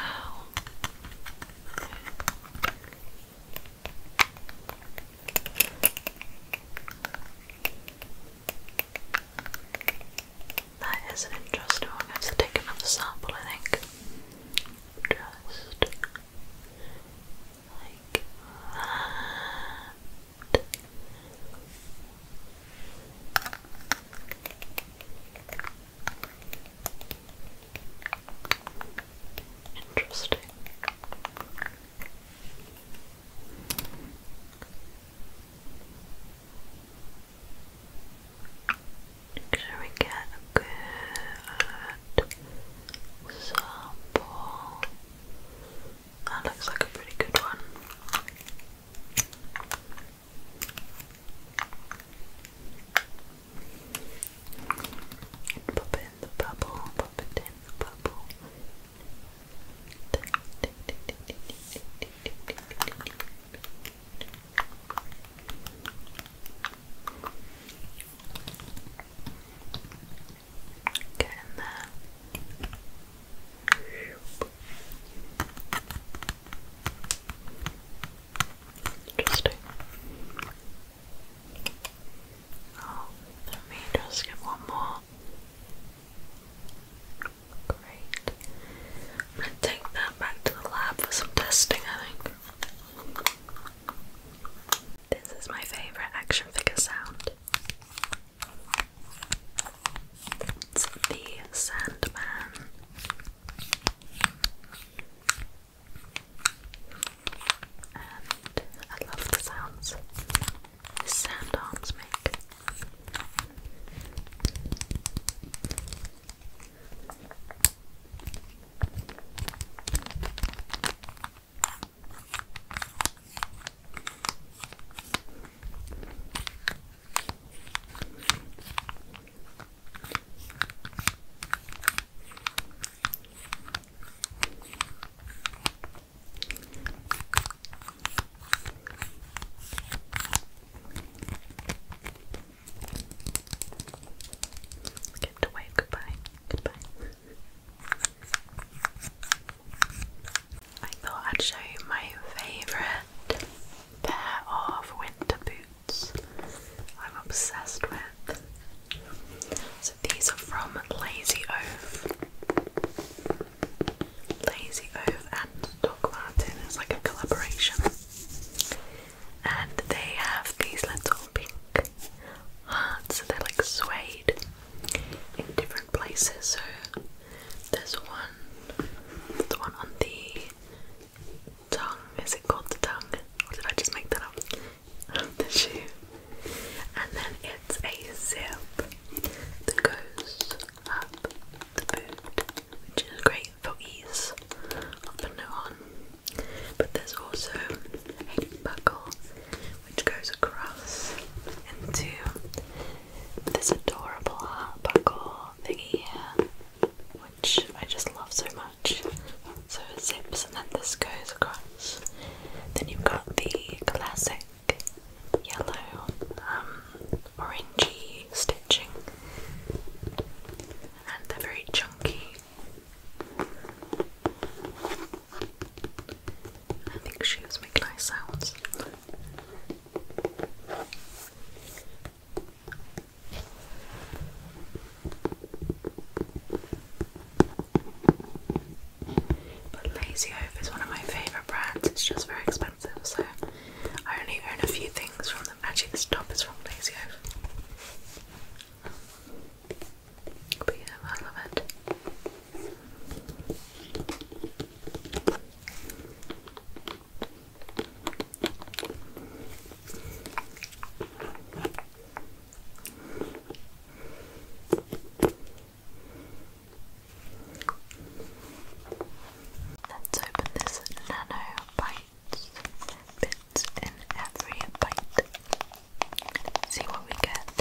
That is an interesting one. take another sample, I think. Just like that. Interesting. Should we get a good uh, sample that looks like a pretty good one. pop in the bubble, pop in the bubble. Get in there. Interesting. Oh, let me just get one more. Great. i take that back to the lab for some testing, I think. This is my favourite action figure sound. It's the Sandman. And I love the sounds the sand arms make. Get to goodbye. Goodbye. I thought I'd show you my favourite pair of winter boots I'm obsessed with. So these are from Lazy Oaf. Lazy Oaf and Doc Martin is like a collaboration. And they have these little pink hearts, so they're like suede in different places. So there's one, the one on the tongue. Is it called the tongue? Or did I just make that up? the shoe. And then it's a zip that goes up which is great for ease of putting it But there's also a buckle which goes across into this adorable heart buckle thingy here, which I just love so much. So it zips and then this goes across. Then you've got the classic yellow, um, orangey stitching, and they're very chunky. I think shoes make nice sounds. But Lazy is one of my favourite brands, it's just very expensive, so I only own a few things from them. Actually, this top is from Lazy But I love it. Let's open this nano bites bits in every bite. See what we get.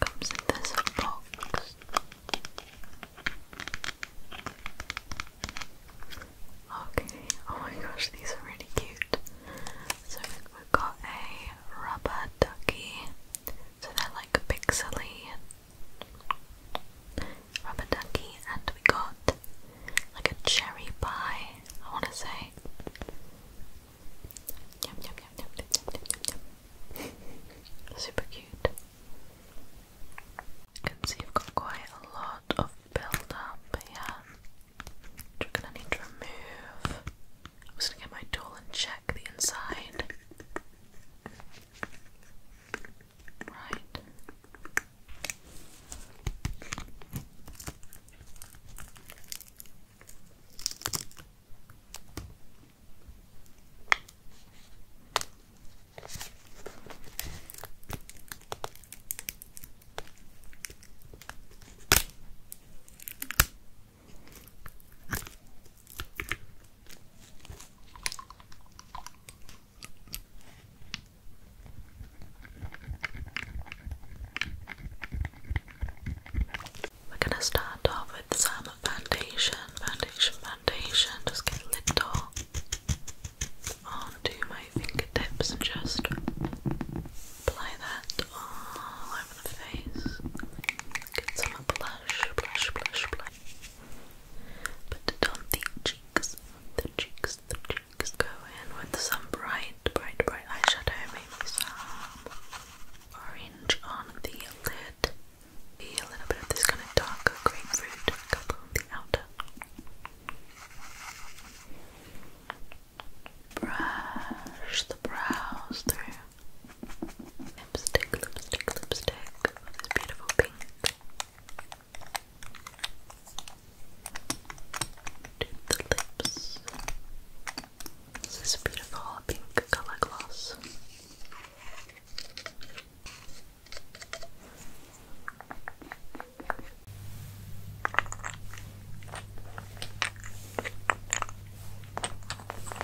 Comes in this box. Okay, oh my gosh, these are really cute. So we've got a rubber ducky, so they're like a pixely and rubber ducky. And we got like a cherry pie, I want to say. Yum, yum, yum, yum, yum, yum, yum, yum. Super cute. can see you've got quite a lot of build up here, which are gonna need to remove. I'm just gonna get my tool and check the inside. Right. We're going to start off with some foundation, foundation, foundation. Just get a little onto my fingertips and just apply that all over the face. Get some blush, blush, blush, blush. But don't the cheeks, the cheeks, the cheeks. Go in with some bright, bright, bright eyeshadow. Maybe some orange on the lid. Be a little bit of this kind of darker grapefruit couple on the outer. Brush the brows through. Lipstick, lipstick, lipstick. This beautiful pink. To the lips. This beautiful pink color gloss.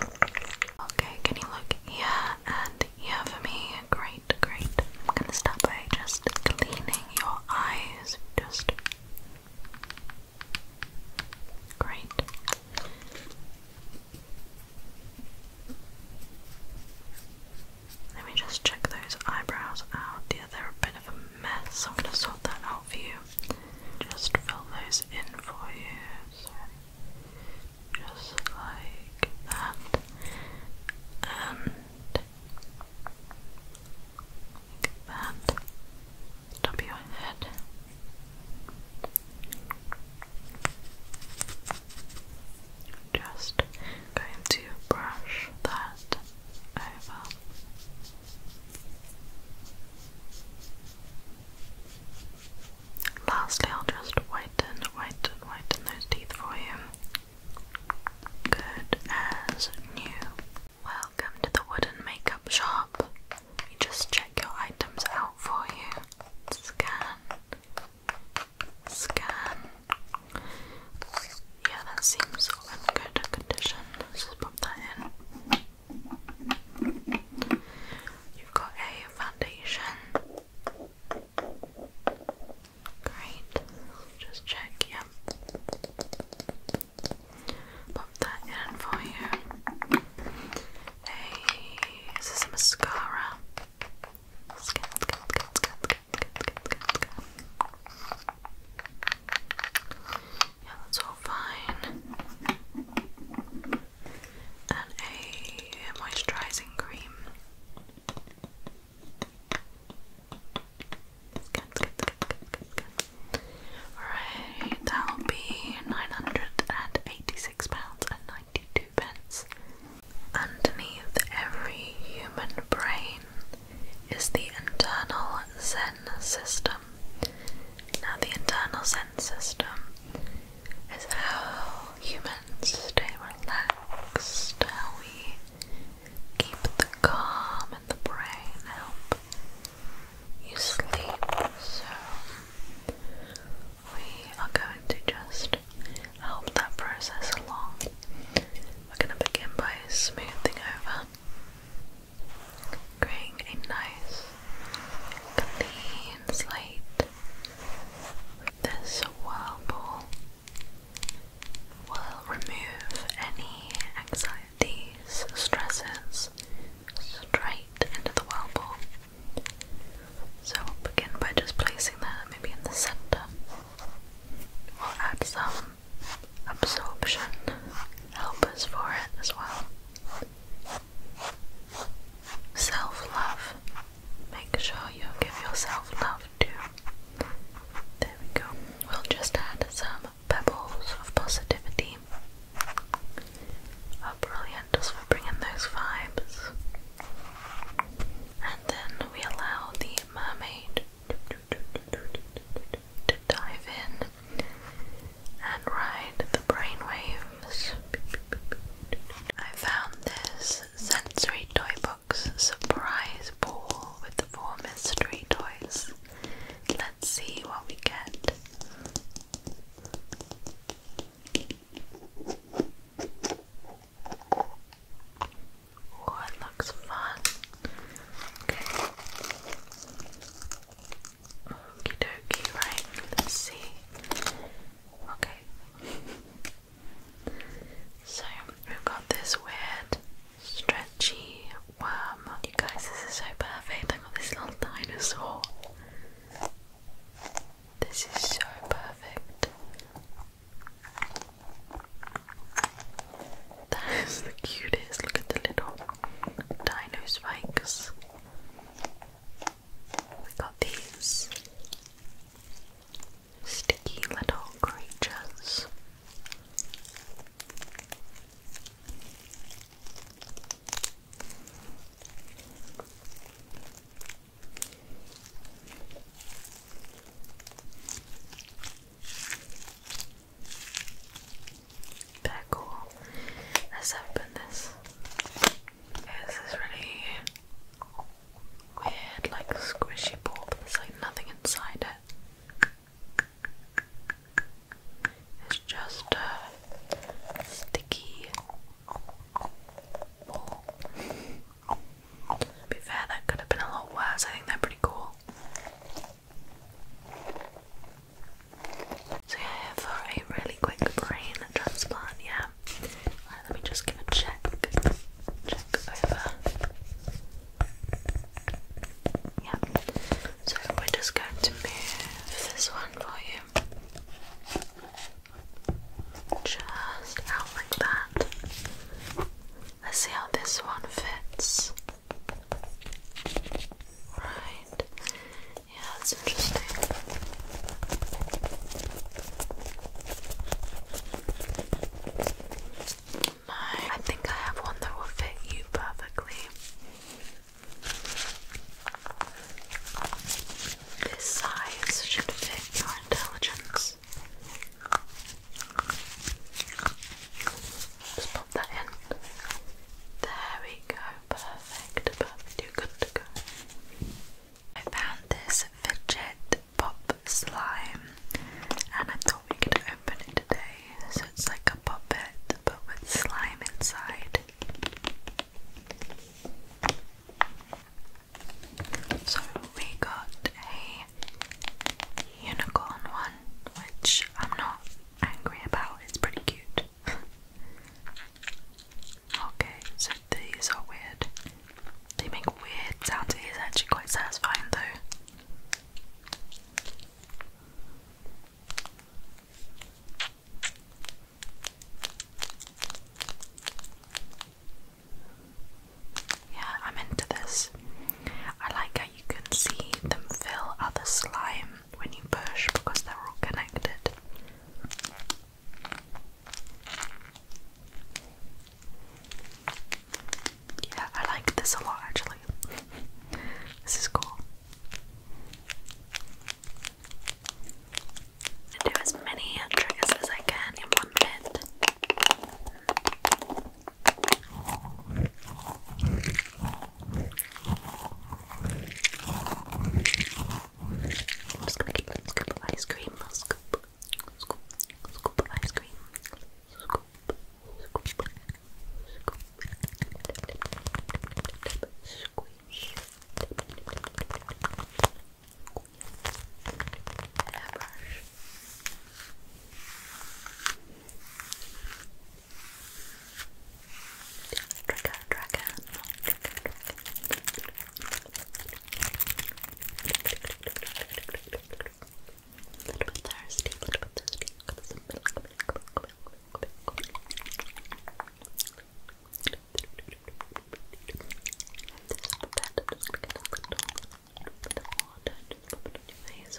Okay, can you look here and here for me? Great, great. I'm gonna start by just cleaning your eyes. Just great. Let me just check those eyebrows out. Yeah, they're a bit of a mess. I'm gonna sort that out for you just fill those in for you. just like that. like that. Top head. Just going to brush that over. Lastly, I'll just whiten, whiten, whiten those teeth for you. Good as new. Welcome to the wooden makeup shop. We just check your items out for you. Scan. Scan. Yeah, that seems in good condition. just pop that in. You've got a foundation. Great. Just check, yeah. Pop that in for you. A is this a mascara? Yeah, that's all fine and a moisturising cream. Good, that'll be £986.92. pence. Underneath every human brain is the internal Zen system. Now, the internal sense system is how humans stay relaxed, how we keep the calm in the brain, help you sleep. So, we are going to just help that process along. We're going to begin by smoothing over creating a nice clean slate with this whirlpool will remove any anxieties, stresses straight into the whirlpool. So begin by just placing that maybe in the center. We'll add some absorption helpers for it as well. Self love. Make sure you give yourself love too. There we go. We'll just add some pebbles of positivity. Oh, brilliant, just for bringing those vibes. And then we allow the mermaid to dive in and ride the brainwaves. I found this sensory toy box surprise ball with the four mystery toys. Let's see what we get. Oh, it looks fun. Okie dokie, right, let's see. Okay. So, we've got this weird stretchy worm. You guys, this is so perfect. I've got this little dinosaur. This is so perfect. That is the cutest. Look at the little dino spikes. We got these sticky little creatures. They're cool. Let's open this. this is really weird, like squishy ball, but there's like nothing inside it. It's just sticky be fair, that could have been a lot worse. I think they're pretty cool. So yeah, for a really quick brain transplant, yeah. Right, let me just give a check. Check over. Yeah. So we're just going to move this one for you. Just out like that. Let's see how this one fits. Right. Yeah, that's interesting. I think I have one that will fit you perfectly. This size should fit your intelligence. Just pop that in. There we go perfect, perfect, you're good to go. I found this fidget pop slime and I thought we could open it today. So it's like a puppet but with slime inside. So we got a unicorn one, which I'm not angry about, it's pretty cute. okay, so these are weird. They make weird sounds. It is actually quite satisfying though. Yeah, I'm into this. I like how you can see them fill other slime when you push because they're all connected. Yeah, I like this a lot actually. this is cool. do as many triggers as I can in one bit. I'm just gonna give them a scoop of ice cream. Scoop, scoop, scoop of ice cream. Scoop, scoop, scoop. Squish. Airbrush. Draco, Draco, Draco, Draco. A little bit thirsty, a little bit thirsty. Got some milk, milk, milk, milk, milk, milk. Just pop it on your face.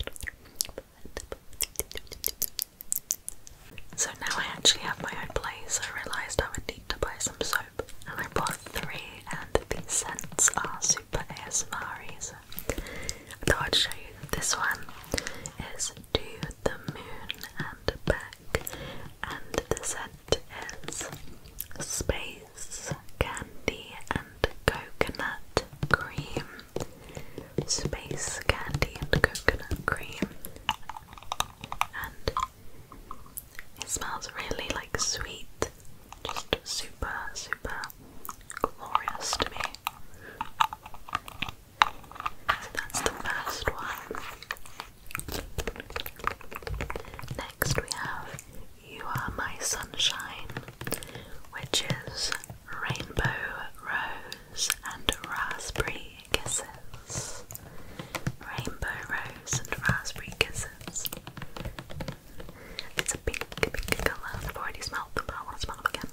So now I actually have my own place. I realised I would need to buy some soap, and I bought three. And these scents are super ASMRs. I thought I'd show you this one is To the Moon and Back, and the scent is Space Candy and Coconut Cream. Space Candy and Coconut Cream and it smells really like sweet, just super, super glorious to me. So that's the first one. Next, we have You Are My Sunshine, which is Rainbow Rose and raspberry kisses. Rainbow rose and raspberry kisses. It's a pink, pink colour. I've already smelled them, but I want to smell them again.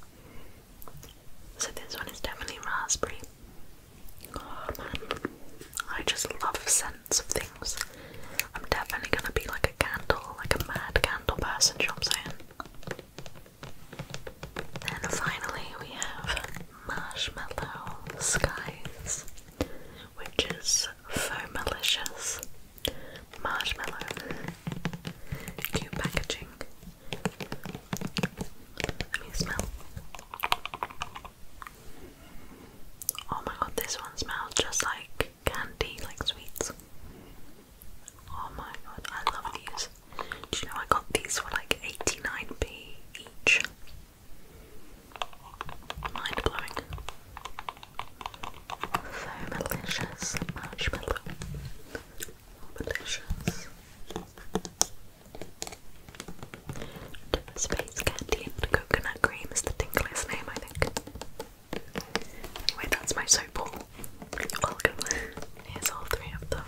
So this one is definitely raspberry. I just love scents of things. I'm definitely gonna be like a candle, like a mad candle person, you know what I'm saying? Then finally we have Marshmallow Skies, which is so malicious. Marshmallow. Cute packaging. Let me smell. Oh my god, this one smells just like candy, like sweets. Oh my god, I love these. Do you know I got these for like 89p Mind blowing. So malicious marshmallow. Malicious. Space candy and coconut cream is the tingliest name, I think. Anyway, that's my soap ball. Welcome. Here's all three of them.